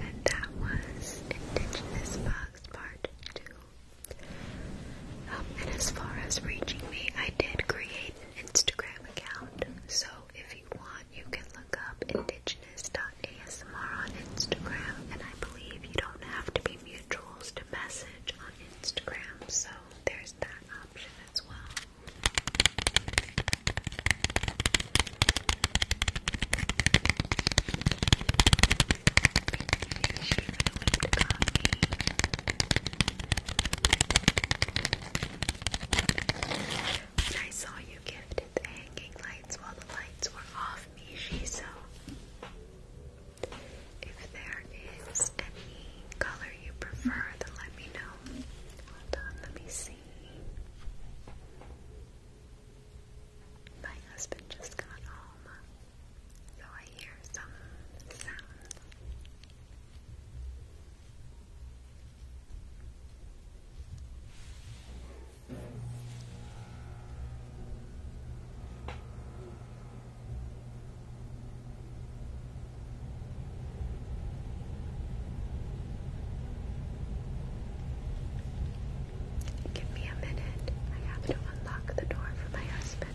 B: And that was Indigenous Fox Part 2. and as far as reaching me, I did create an Instagram account. So if you want, you can look up indigenous.asmr on Instagram. And I believe you don't have to be mutuals to message on Instagram, so there's that option as well. When I saw you gifted the hanging lights while the lights were off, Mishi, so if there is any color you prefer, then let me know. let me see. My husband just got home, so I hear some sound. Give me a minute. I have to unlock the door for my husband.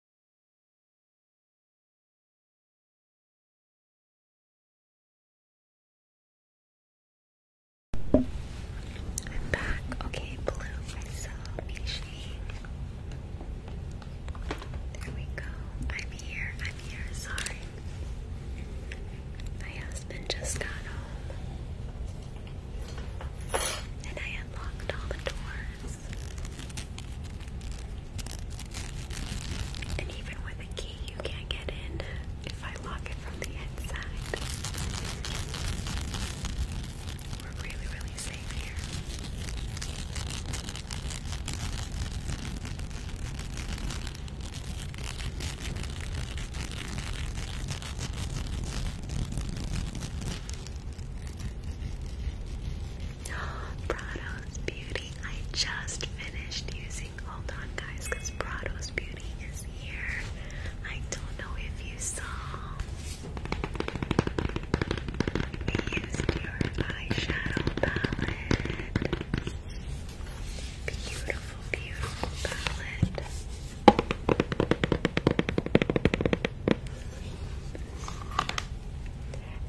A: I'm back. Okay, blue myself, shade.
C: There we go. I'm here. I'm here. Sorry. My husband just got home. And I unlocked all the doors. And even with a key, you can't get in if I lock it from the inside.
B: We're really, really safe here. Prado's Beauty. I just finished using. Hold on, guys, because Prado's Beauty is here. I don't know if you saw. I used your eyeshadow palette. Beautiful, beautiful palette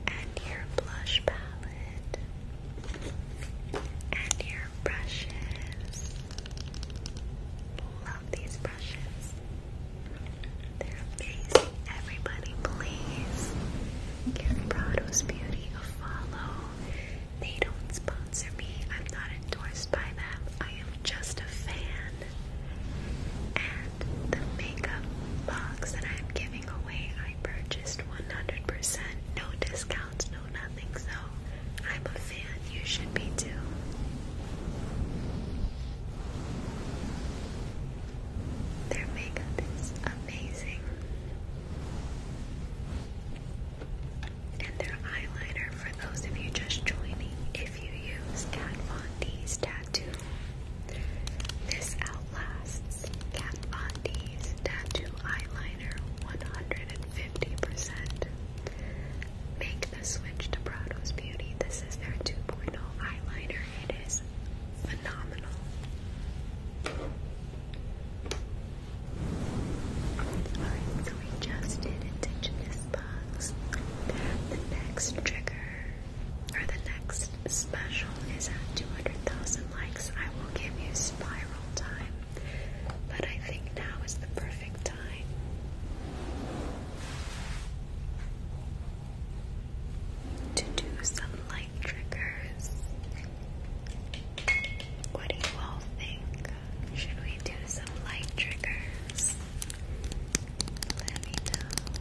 B: and your blush palette and your brushes. Love these brushes. They're amazing. Everybody, please give Prado's Beauty a follow. They don't sponsor me. I'm not endorsed by them. I am just a fan. And the makeup box that I'm giving away. I purchased 100%, no discounts, no nothing. So I'm a fan. You should be too. Their makeup is amazing. And their eyeliner, for those of you just joining, if you use Kat Von D's tattoo this outlasts Kat Von D's tattoo eyeliner 150%. Make the switch to Prado's Beauty. This is their 2.0 eyeliner. It is phenomenal.
C: Alright, so we just did Indigenous Bugs.
B: The next trigger or the next special is at 200,000 likes, I will give you spiral time. But I think now is the perfect time. To do some light
C: triggers. What do you all think? Should we do some light triggers? Let me know.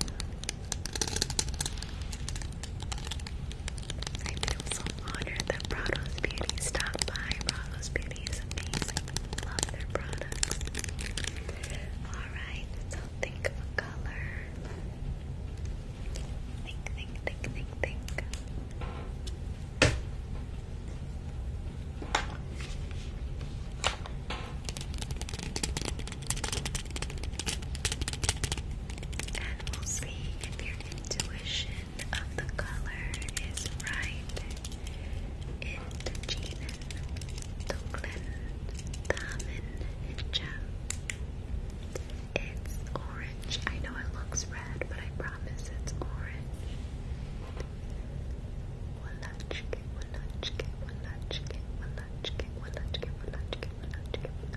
C: I feel so honored that Prado's Beauty stopped by. Prado's Beauty is Love their products. Alright, so think of a color. Think, think, think, think, think.
B: And we'll see if your intuition of the color is right. Indigenen, Duklin, It's orange. I know it looks red, but I promise it's orange. Walachke, walachke, walachke, walachke, walachke, walachke, walachke, walachke,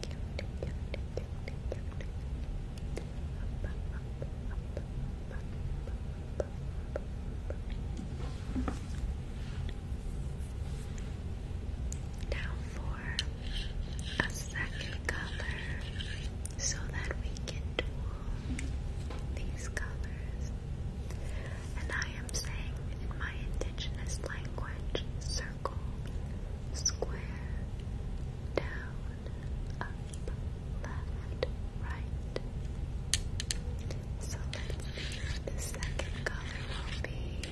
B: cute, cute, Now for a second color so that we can duel these colors. And I am saying in my indigenous language, so circle, square, down, up, left, right. So the second color will be.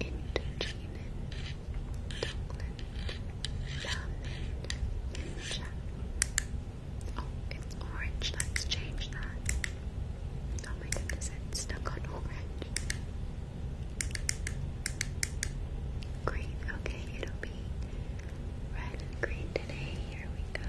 B: Indigenous, Dublin, Diamond, Ninja. Oh, it's orange. Let's change that. Oh my goodness, it's stuck on orange. Green, okay, it'll be red and green today. Here we go.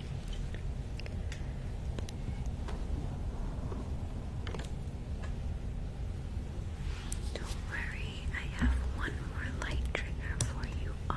B: Don't worry, I have one more light trigger for you all.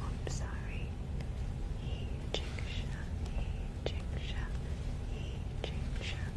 B: I'm sorry. He chick shot, he chick shot, he chick shot,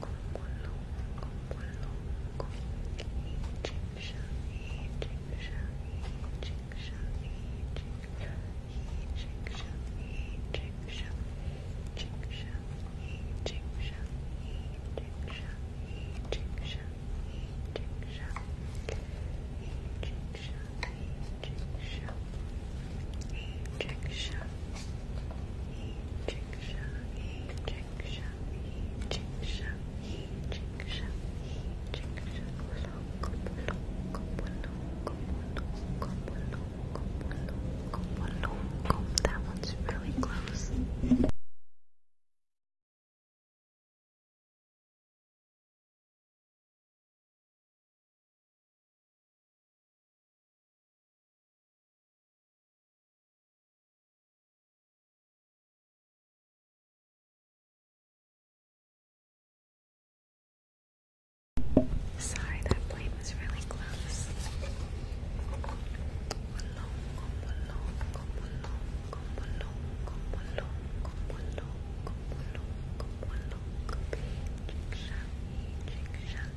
A: como loco, como loco. Egyptian, Egyptian, Egyptian, Egyptian, Egyptian, Egyptian, Egyptian, Egyptian, Egyptian, Egyptian, Egyptian, Egyptian, Egyptian, Egyptian. Chiksha, Chiksha, Chiksha, Chiksha, Chiksha, That one's really close. Sorry, that blade was really close.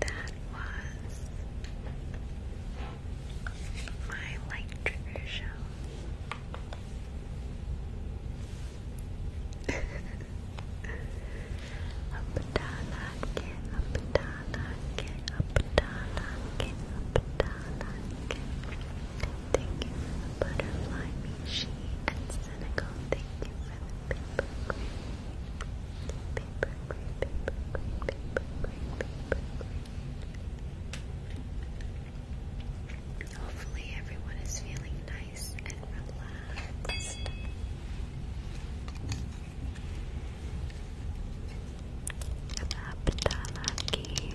A: That was my light trigger show. Thank you for the butterfly, and Senegal. Thank you for paper green,
B: Hopefully, everyone is feeling nice and relaxed. Abaptalaki.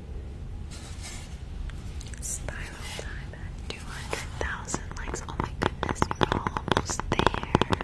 B: Spiral time at 200,000 likes. Oh my goodness, you're almost there.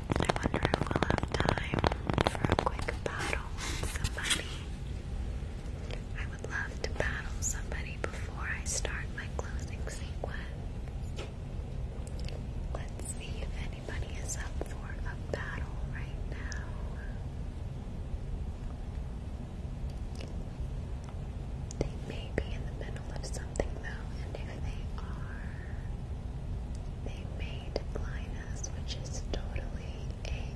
B: I wonder if we'll have time for a quick battle with somebody. I would love to battle somebody before I start my closing sequence. Let's see if anybody is up for a battle right now. They may be in the middle of something though, and if they are, they made line us, which is totally a-okay.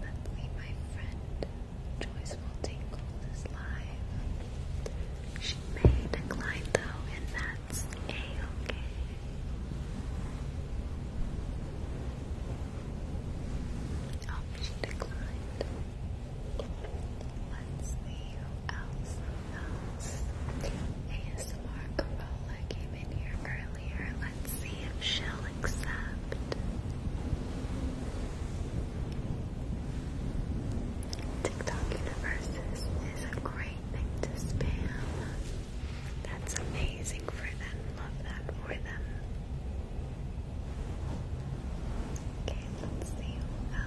B: Luckily, my friend Joyful Tinkles is live. She made a climb though, and that's a-okay. Oh, she declined. Let's see who ASMR Corolla came in here earlier. Let's see if she'll accept. TikTok universes is a great thing to spam. That's amazing for them. Love that for them. Okay, let's see who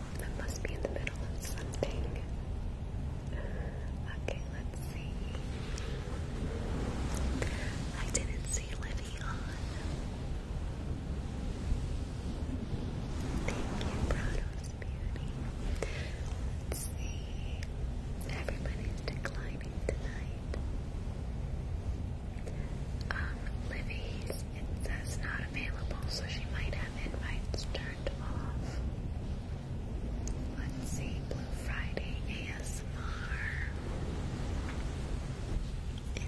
B: Oh, that must be in the middle of something. Okay, let's see. I didn't see Livy on. Thank you, Prado's beauty. Let's see. Everybody's declining tonight. Um, Livy's, it says not available, so she might have invites turned Let's see, Blue Friday ASMR.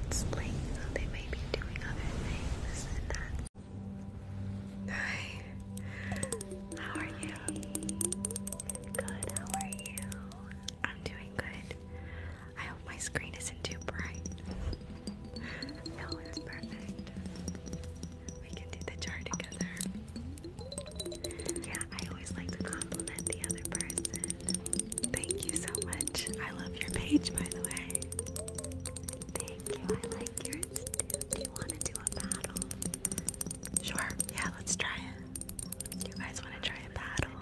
B: It's late, so they may be doing other things Hi, how are you? Good, how are you? I'm doing good. I hope my screen isn't too bright. it's perfect. We can do the jar together. Yeah, I always like to compliment the other person. Thank you so much. I love your page, by the way. Thank you. I like yours too. Do you want to do a battle? Sure. Yeah, let's try it. You guys want to try a battle?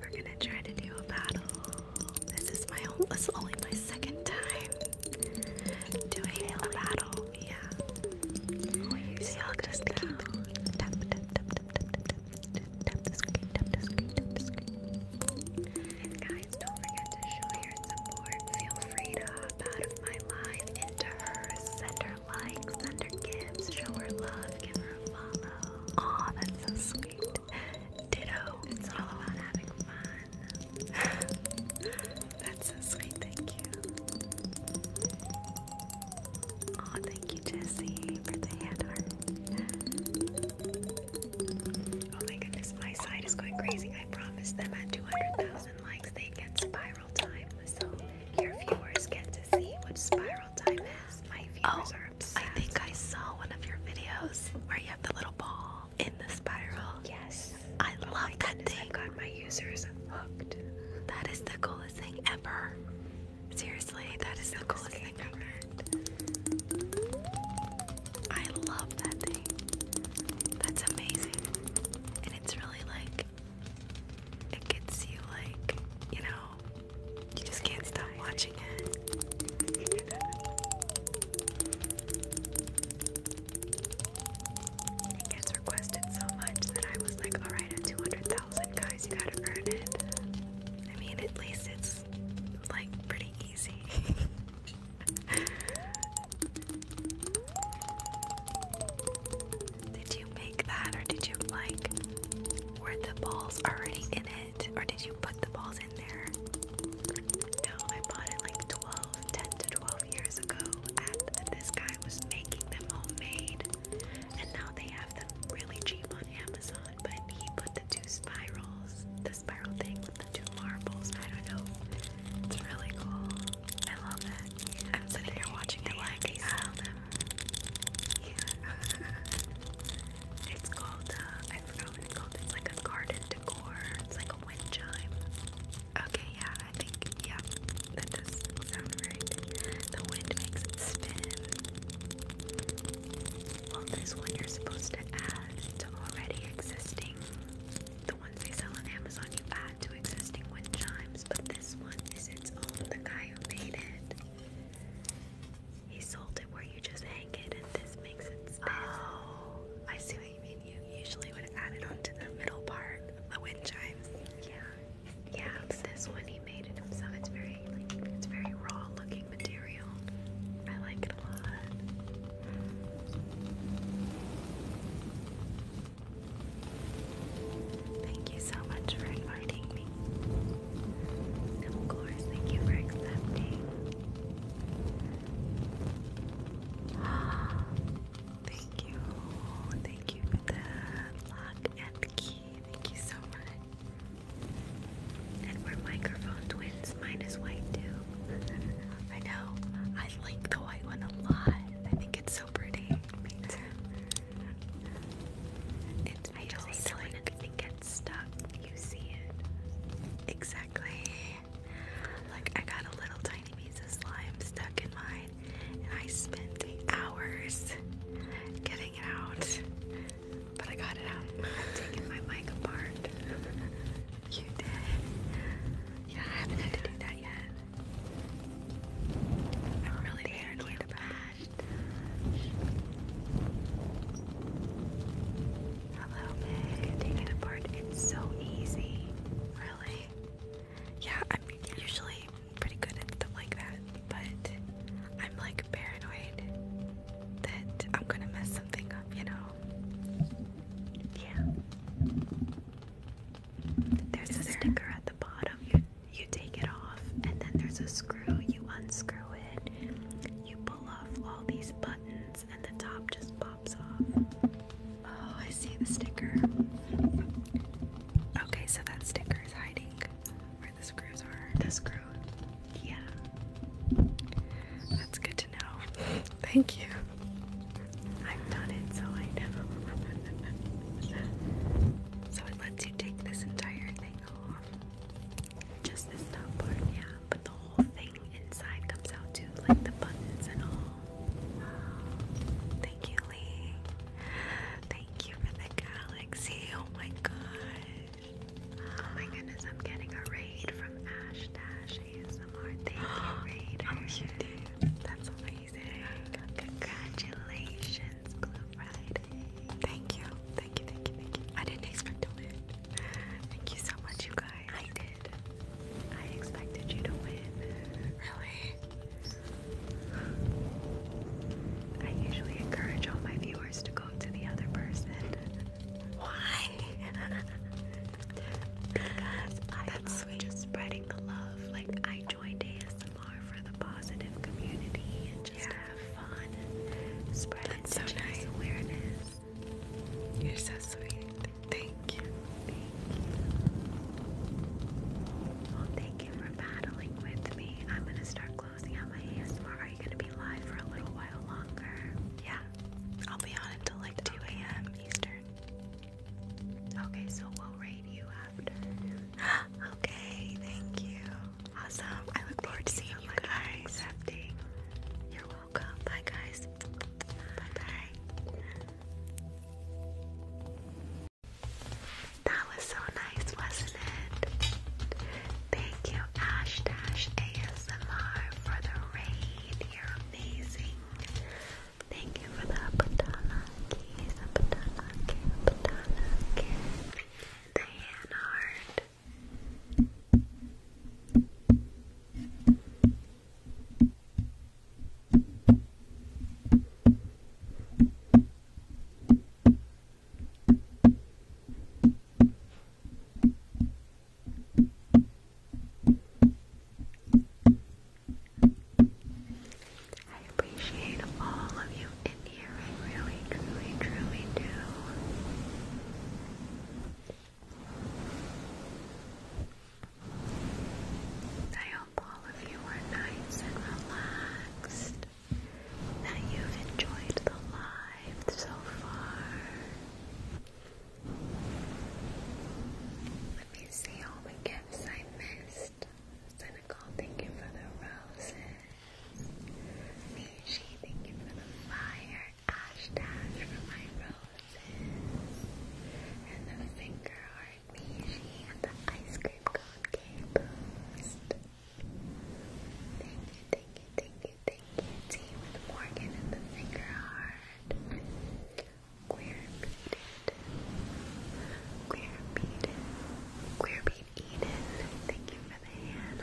B: We're gonna try to do a battle. This is my whole, this is only my second time doing a battle. Yeah. Oh, you the screen, tap And guys, don't forget to show your support. Feel free to hop out of my live into hers. Send her likes, send gifts, show her love, give her follow. Aw, that's so sweet. Ditto. It's all about having fun. That's so sweet. Thank you. Oh, thank you, Jesse, for the hand heart. Oh my goodness, my side is going crazy. I promised them at 200,000 likes they get spiral time. So your viewers get to see what spiral time is. My viewers oh, I think I saw one of your videos where you the little ball in the spiral. Yes. I love oh that thing. I got my users hooked. That is the coolest thing ever. Seriously, that is the coolest thing ever. I love that thing. That's amazing. And it's really like it gets you like, you know, you just can't stop watching it. gets requested so much that I was like, alright, at 200,000, guys, you gotta earn it. I mean, at least it's like pretty easy. did you make that, or did you like, were the balls already in it, or did you put the balls in no, I bought it like 12, 10 to 12 years ago, and this guy was making them homemade. And now they have them really cheap on Amazon, but he put the two spirals, the spiral thing with the two marbles. I don't know. It's really cool. I love it. I'm sitting here watching it like I sell them. Yeah. It's called, uh, I forgot it's called. It's like a garden decor. It's like a wind chime. Okay, yeah, I think, yeah, that does sound right. The wind makes it spin. Well, this one you're supposed to add to already existing. The ones they sell on Amazon, you add to existing wind chimes, but this one its own. The guy who made it he sold it where you just
C: hang it, and this makes it space. Oh, I see what you mean. You usually would add it onto the
B: middle part of the wind chimes. Yeah, yeah. This one he made it himself. It's very, it's very raw looking material. I like it a lot. Thank you so much for inviting me. of course, thank you for accepting. Thank you. Thank you for the lock and key. Thank you so much. And we're microphone twins. Mine is white too. I know. I like the white one a lot. I think it's so pretty. It's I
C: Stuck? you see it. Exactly.
B: Like, I got a little tiny piece of slime stuck in mine, and I spent hours getting it out. But I got it out. taking my mic apart. you did. Yeah, I haven't had to do that yet. I'm really paranoid about it. Hello, Meg. Take it apart. It's so easy. Really? Yeah, I'm usually pretty good at stuff like that, but I'm like paranoid that I'm gonna mess something up, you know? Yeah. There's a sticker at the bottom. You, you take it off, and then there's a screw. You unscrew it. You pull off all these buttons and the top just pops off. Oh, I see the sticker. Okay, so that sticker is hiding
C: where the screws are. The screw. Yeah. That's good to know. Thank you.
B: I've done it, so I know. so it lets you take this entire thing off. Just this top part, yeah but the whole thing inside comes out too, like the buttons and all. Thank you, Lee. Thank you for the galaxy. Oh my gosh. Oh my goodness, I'm getting a raid from Ash Dash ASMR. Thank you, Raider. Oh, you did. That's amazing. Congratulations, Blue Friday. Thank you thank you, I didn't expect to win. Thank you so much, you guys. I did. I expected you to win. Really? I usually encourage all my viewers to go to the other person. Why? I That's sweet. just spreading the love. Like I joined ASMR for the positive community and just have fun and spread That's so nice. awareness. You're so sweet. Thank you. Thank you. for battling with me. I'm gonna start closing out my ASMR. Are you gonna be live for a little while longer? Yeah. I'll be on until like 2 a.m. Eastern. Okay, so we'll rate you after. okay, thank you. Awesome. I look forward to seeing you guys. Accepting. You're Bye, guys. Bye bye. That was so nice, wasn't it? Thank you, Ash Dash ASMR, for the raid. You're amazing. Thank you for the patana keys, the patana, the hand heart. I appreciate all of you in here. I really, truly, truly do. I hope all of you are nice and relaxed, that you've enjoyed the live so far. Let me see all the gifts I missed. Cynical, thank you for the roses. Mishi, thank you for the fire ash dash for my roses. And the finger heart Mishi and the ice cream cone cake Thank you, thank you, thank you, thank you. Team with Morgan and the finger heart. Queer beaded. Queer Thank you for the hand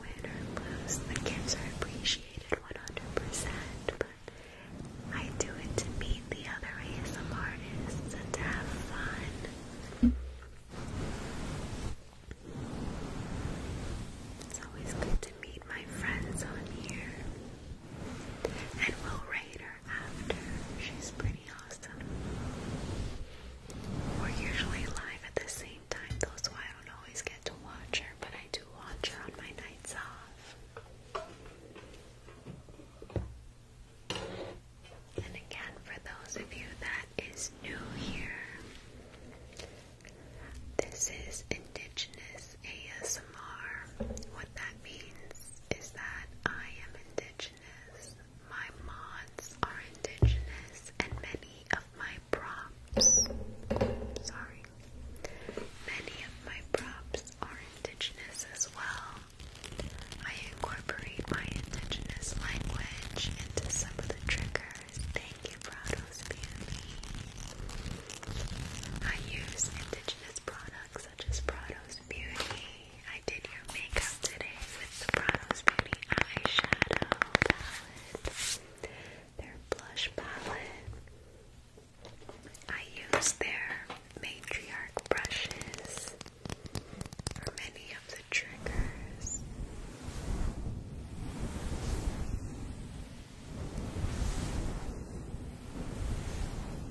B: win or lose, the gifts are appreciated 100%, but I do it to meet the other ASM artists and to have fun. It's always good to meet my friends on here. And will rate after. She's pretty awesome. We're usually live at the same same time I don't always get to watch her, but I do watch her on my nights off. And again, for those of you that is new here, this is Indigenous ASMR. What that means is that I am Indigenous, my mods are Indigenous, and many many of my props, sorry, many of my props are indigenous as well. I incorporate my indigenous language into some of the triggers. Thank you, Prados Beauty. I use indigenous products such as Prados Beauty. I did your makeup today with the Prados Beauty eyeshadow palette their blush palette. I use their matriarch brushes for many of the triggers.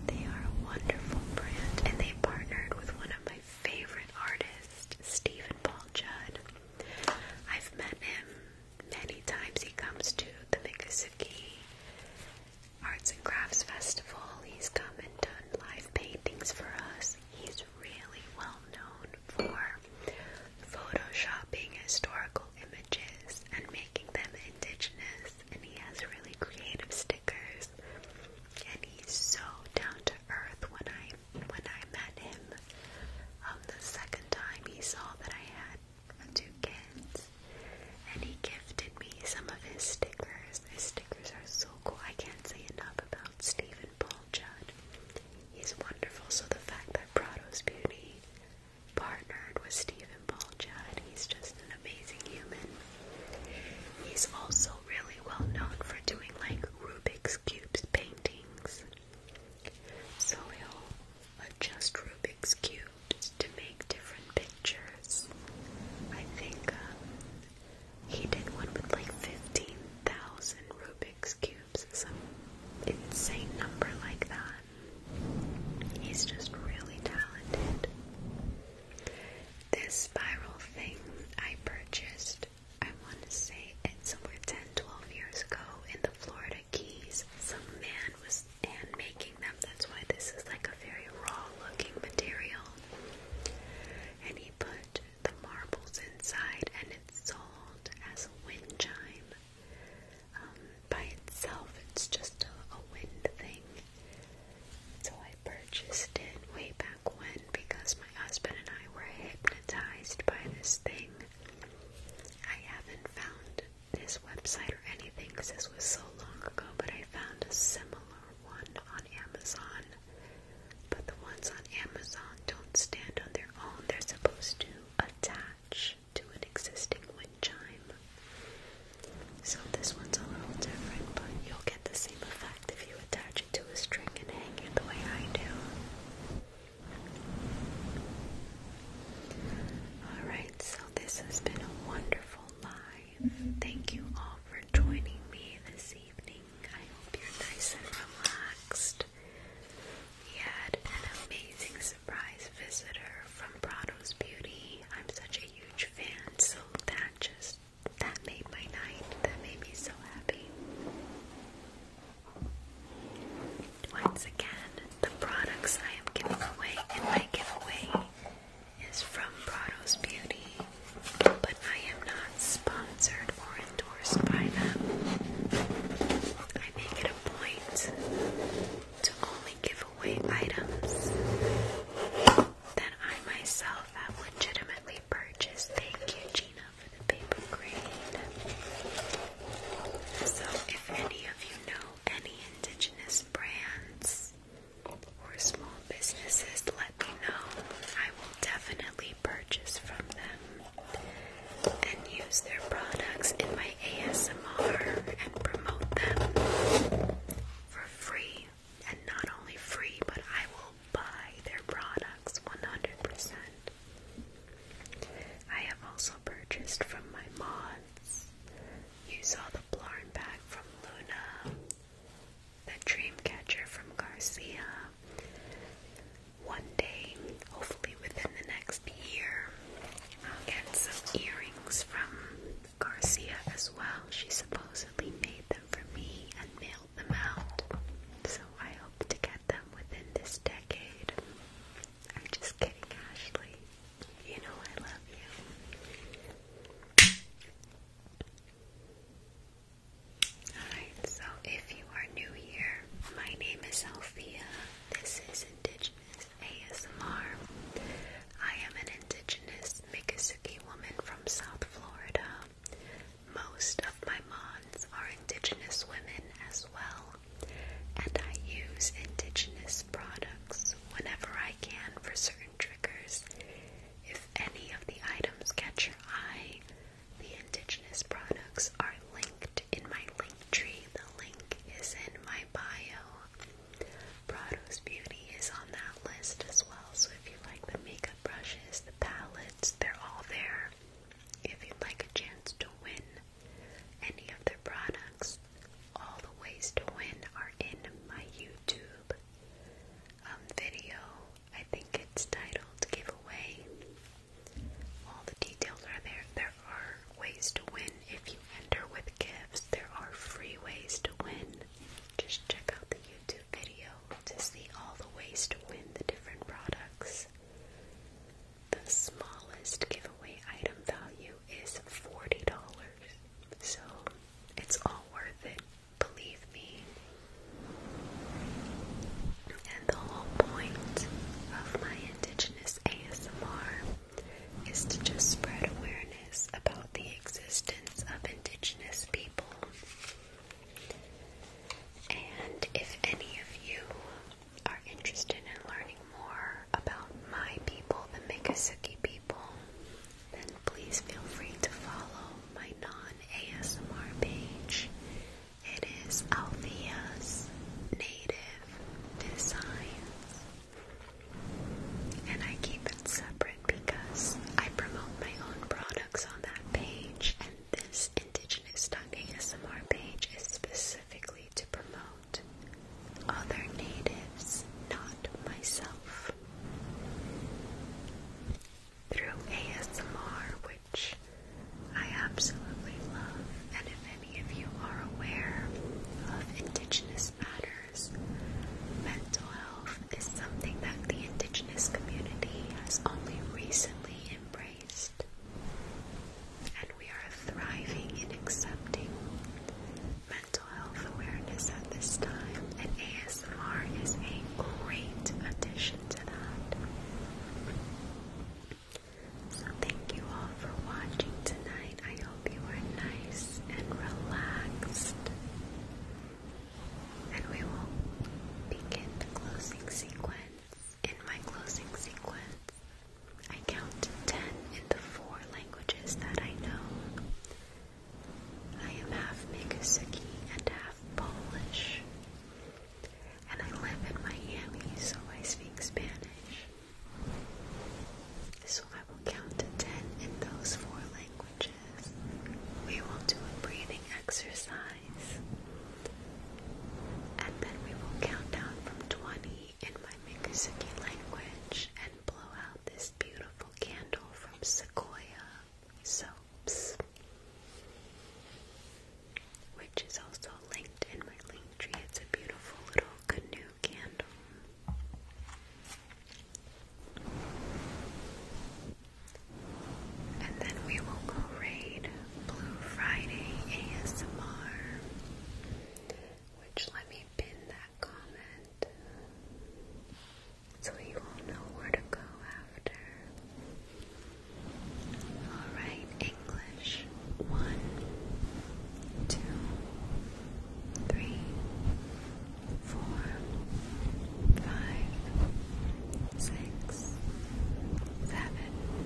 B: They are a wonderful brand and they partnered with one of my favorite artists, Stephen Paul Judd. I've met him many times. He comes to the Miccosukee Arts and Crafts Festival. He's come and done live paintings for us. He's really well known for photoshopping historical images and making them indigenous, and he has really creative stickers. And he's so down to earth when I when I met him um, the second time, he saw that I had two kids, and he gifted me some of his stickers. His stickers are so cool. I can't say enough about Stephen Paul Judd. He's wonderful. So the fact that Prado's Beauty partnered with Stephen Paul Judd, he's just an amazing human. He's also really well known for doing like Rubik's Cubes paintings. So we'll adjust Rubik's cubes to make different pictures. I think um, he did one with like 15,000 Rubik's cubes, some insane number like that. He's just really talented. This spiral thing I purchased first, I want to say it's somewhere 10, 12 years ago in the Florida Keys, some man was hand making them. That's why this is like a very raw looking material. And he put the marbles inside and it's sold as a wind chime. Um, by itself, it's just a, a wind thing. So I purchased it way back when because my husband and I were hypnotized by this thing. I haven't found this website or anything because this was so long ago, but I found a similar one on Amazon. But the ones on Amazon don't stand on their own, they're supposed to attach to an existing wind chime. So this one's a little different, but you'll get the same effect if you attach it to a string and hang it the way I do. Alright, so this has been a wonderful live. Thank you all for joining me this evening. I hope you're nice and relaxed. We had an amazing surprise visitor from Prado's Beauty. I'm such a huge fan, so that just that made my night. That made me so happy. Once again, the products I am giving away in my giveaway is from Prado's Beauty, but I am not sponsored or endorsed by them. I make it a point to only give away items that I myself have legitimately purchased. Thank you, Gina for the paper crane. So, if any of you know any indigenous brands or small businesses, let me know. I will definitely purchase from them and use their products in my ASMR and promote them for free. And not only free, but I will buy their products 100%. I have also purchased from my mods. You saw the Blarn bag from Luna, the dream catcher from Garcia. One day, hopefully within the next year, I'll get some earrings from Garcia as well. She supposedly made them for me and mailed them out. So I hope to get them within this decade. I'm just kidding, Ashley. You know I love you. Alright, so if you are new here, my name is Sophia. This is Indigenous ASMR. I am an Indigenous Miccosukee woman from South Florida. Most of my moms are Indigenous women as well, and I use Indigenous products whenever I can for certain triggers. If any of the items catch your eye, the Indigenous products are linked in my link tree. The link is in my bio. Prado's Beauty is on that list as well, so if you like the makeup brushes, the palettes, they're all there. If you'd like a chance to win any of their products, all the ways to win are in my YouTube um, video. I think it's titled Giveaway. All the details are there. There are ways to win if you enter with gifts. There are free ways to win. Just check out the YouTube video to see all the ways to win the different products. The smallest giveaway item
C: value is $40. So it's all worth it, believe me.
B: And the whole point of my Indigenous ASMR is to
C: just spread awareness about the existence of Indigenous people. And if any of you are
B: interested in learning more about my people, the Miccosukee people, then please feel free to follow my non-ASMR page. It is Althea's Native Designs. And I keep it separate because I promote my own products on that page and this Indigenous Talking SMR page is specifically to promote other natives, not myself. Through ASMR, which I absolutely love, and if any of you are aware of Indigenous matters, mental health is something that the Indigenous community has only recently embraced and we are thriving in accepting mental health awareness at this time, and ASMR is a great addition to that. So, thank you all for watching tonight. I hope you are nice and relaxed. And we will begin the closing sequence in my closing sequence, I count ten in the four languages that I know. I am half Miccosukee and half Polish, and I live in Miami, so I speak Spanish. So I will count to ten in those four languages. We will do a breathing exercise. And then we will count down from 20 in my Mikusaki language and blow out this beautiful candle from Sequoia Soaps, which is also linked in my link tree. It's a beautiful little canoe candle. And then we will go raid Blue Friday ASMR, which let me pin that comment so you all know where to go after. Alright, English. One, two, three, four, five, six, seven.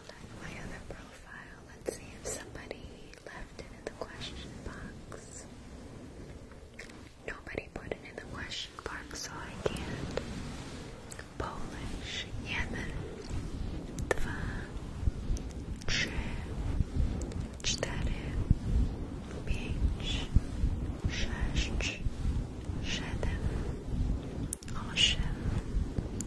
B: my other profile. Let's see if somebody left it in the question box. Nobody put it in the question box, so I can't. Polish, Yemen,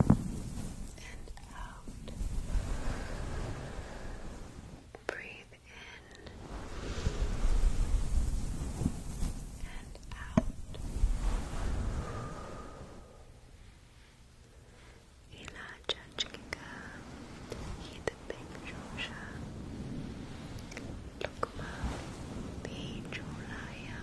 B: and out. Breathe in and out. Ilacha Chikika, Hita Pinjosha, Lukma Pinjolaya,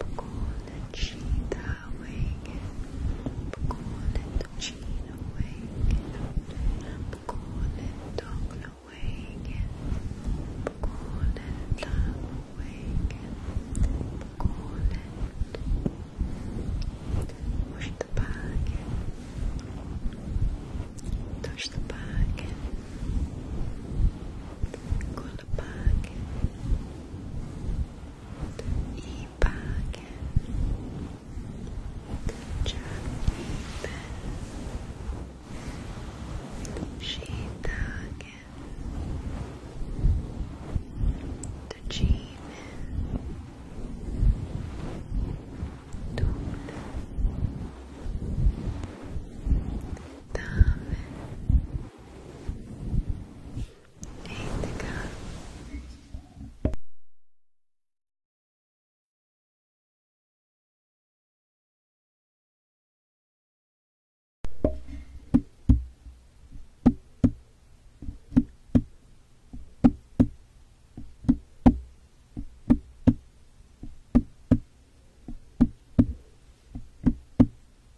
B: بكون نشيطة أواكب بكون التوجين أواكب بكون الدغل أواكب بكون اللعب أواكب بكون مشتباكب تشتباكب Call back i bagien Jack Shiitake Tajime Tune Dame Eight Nine.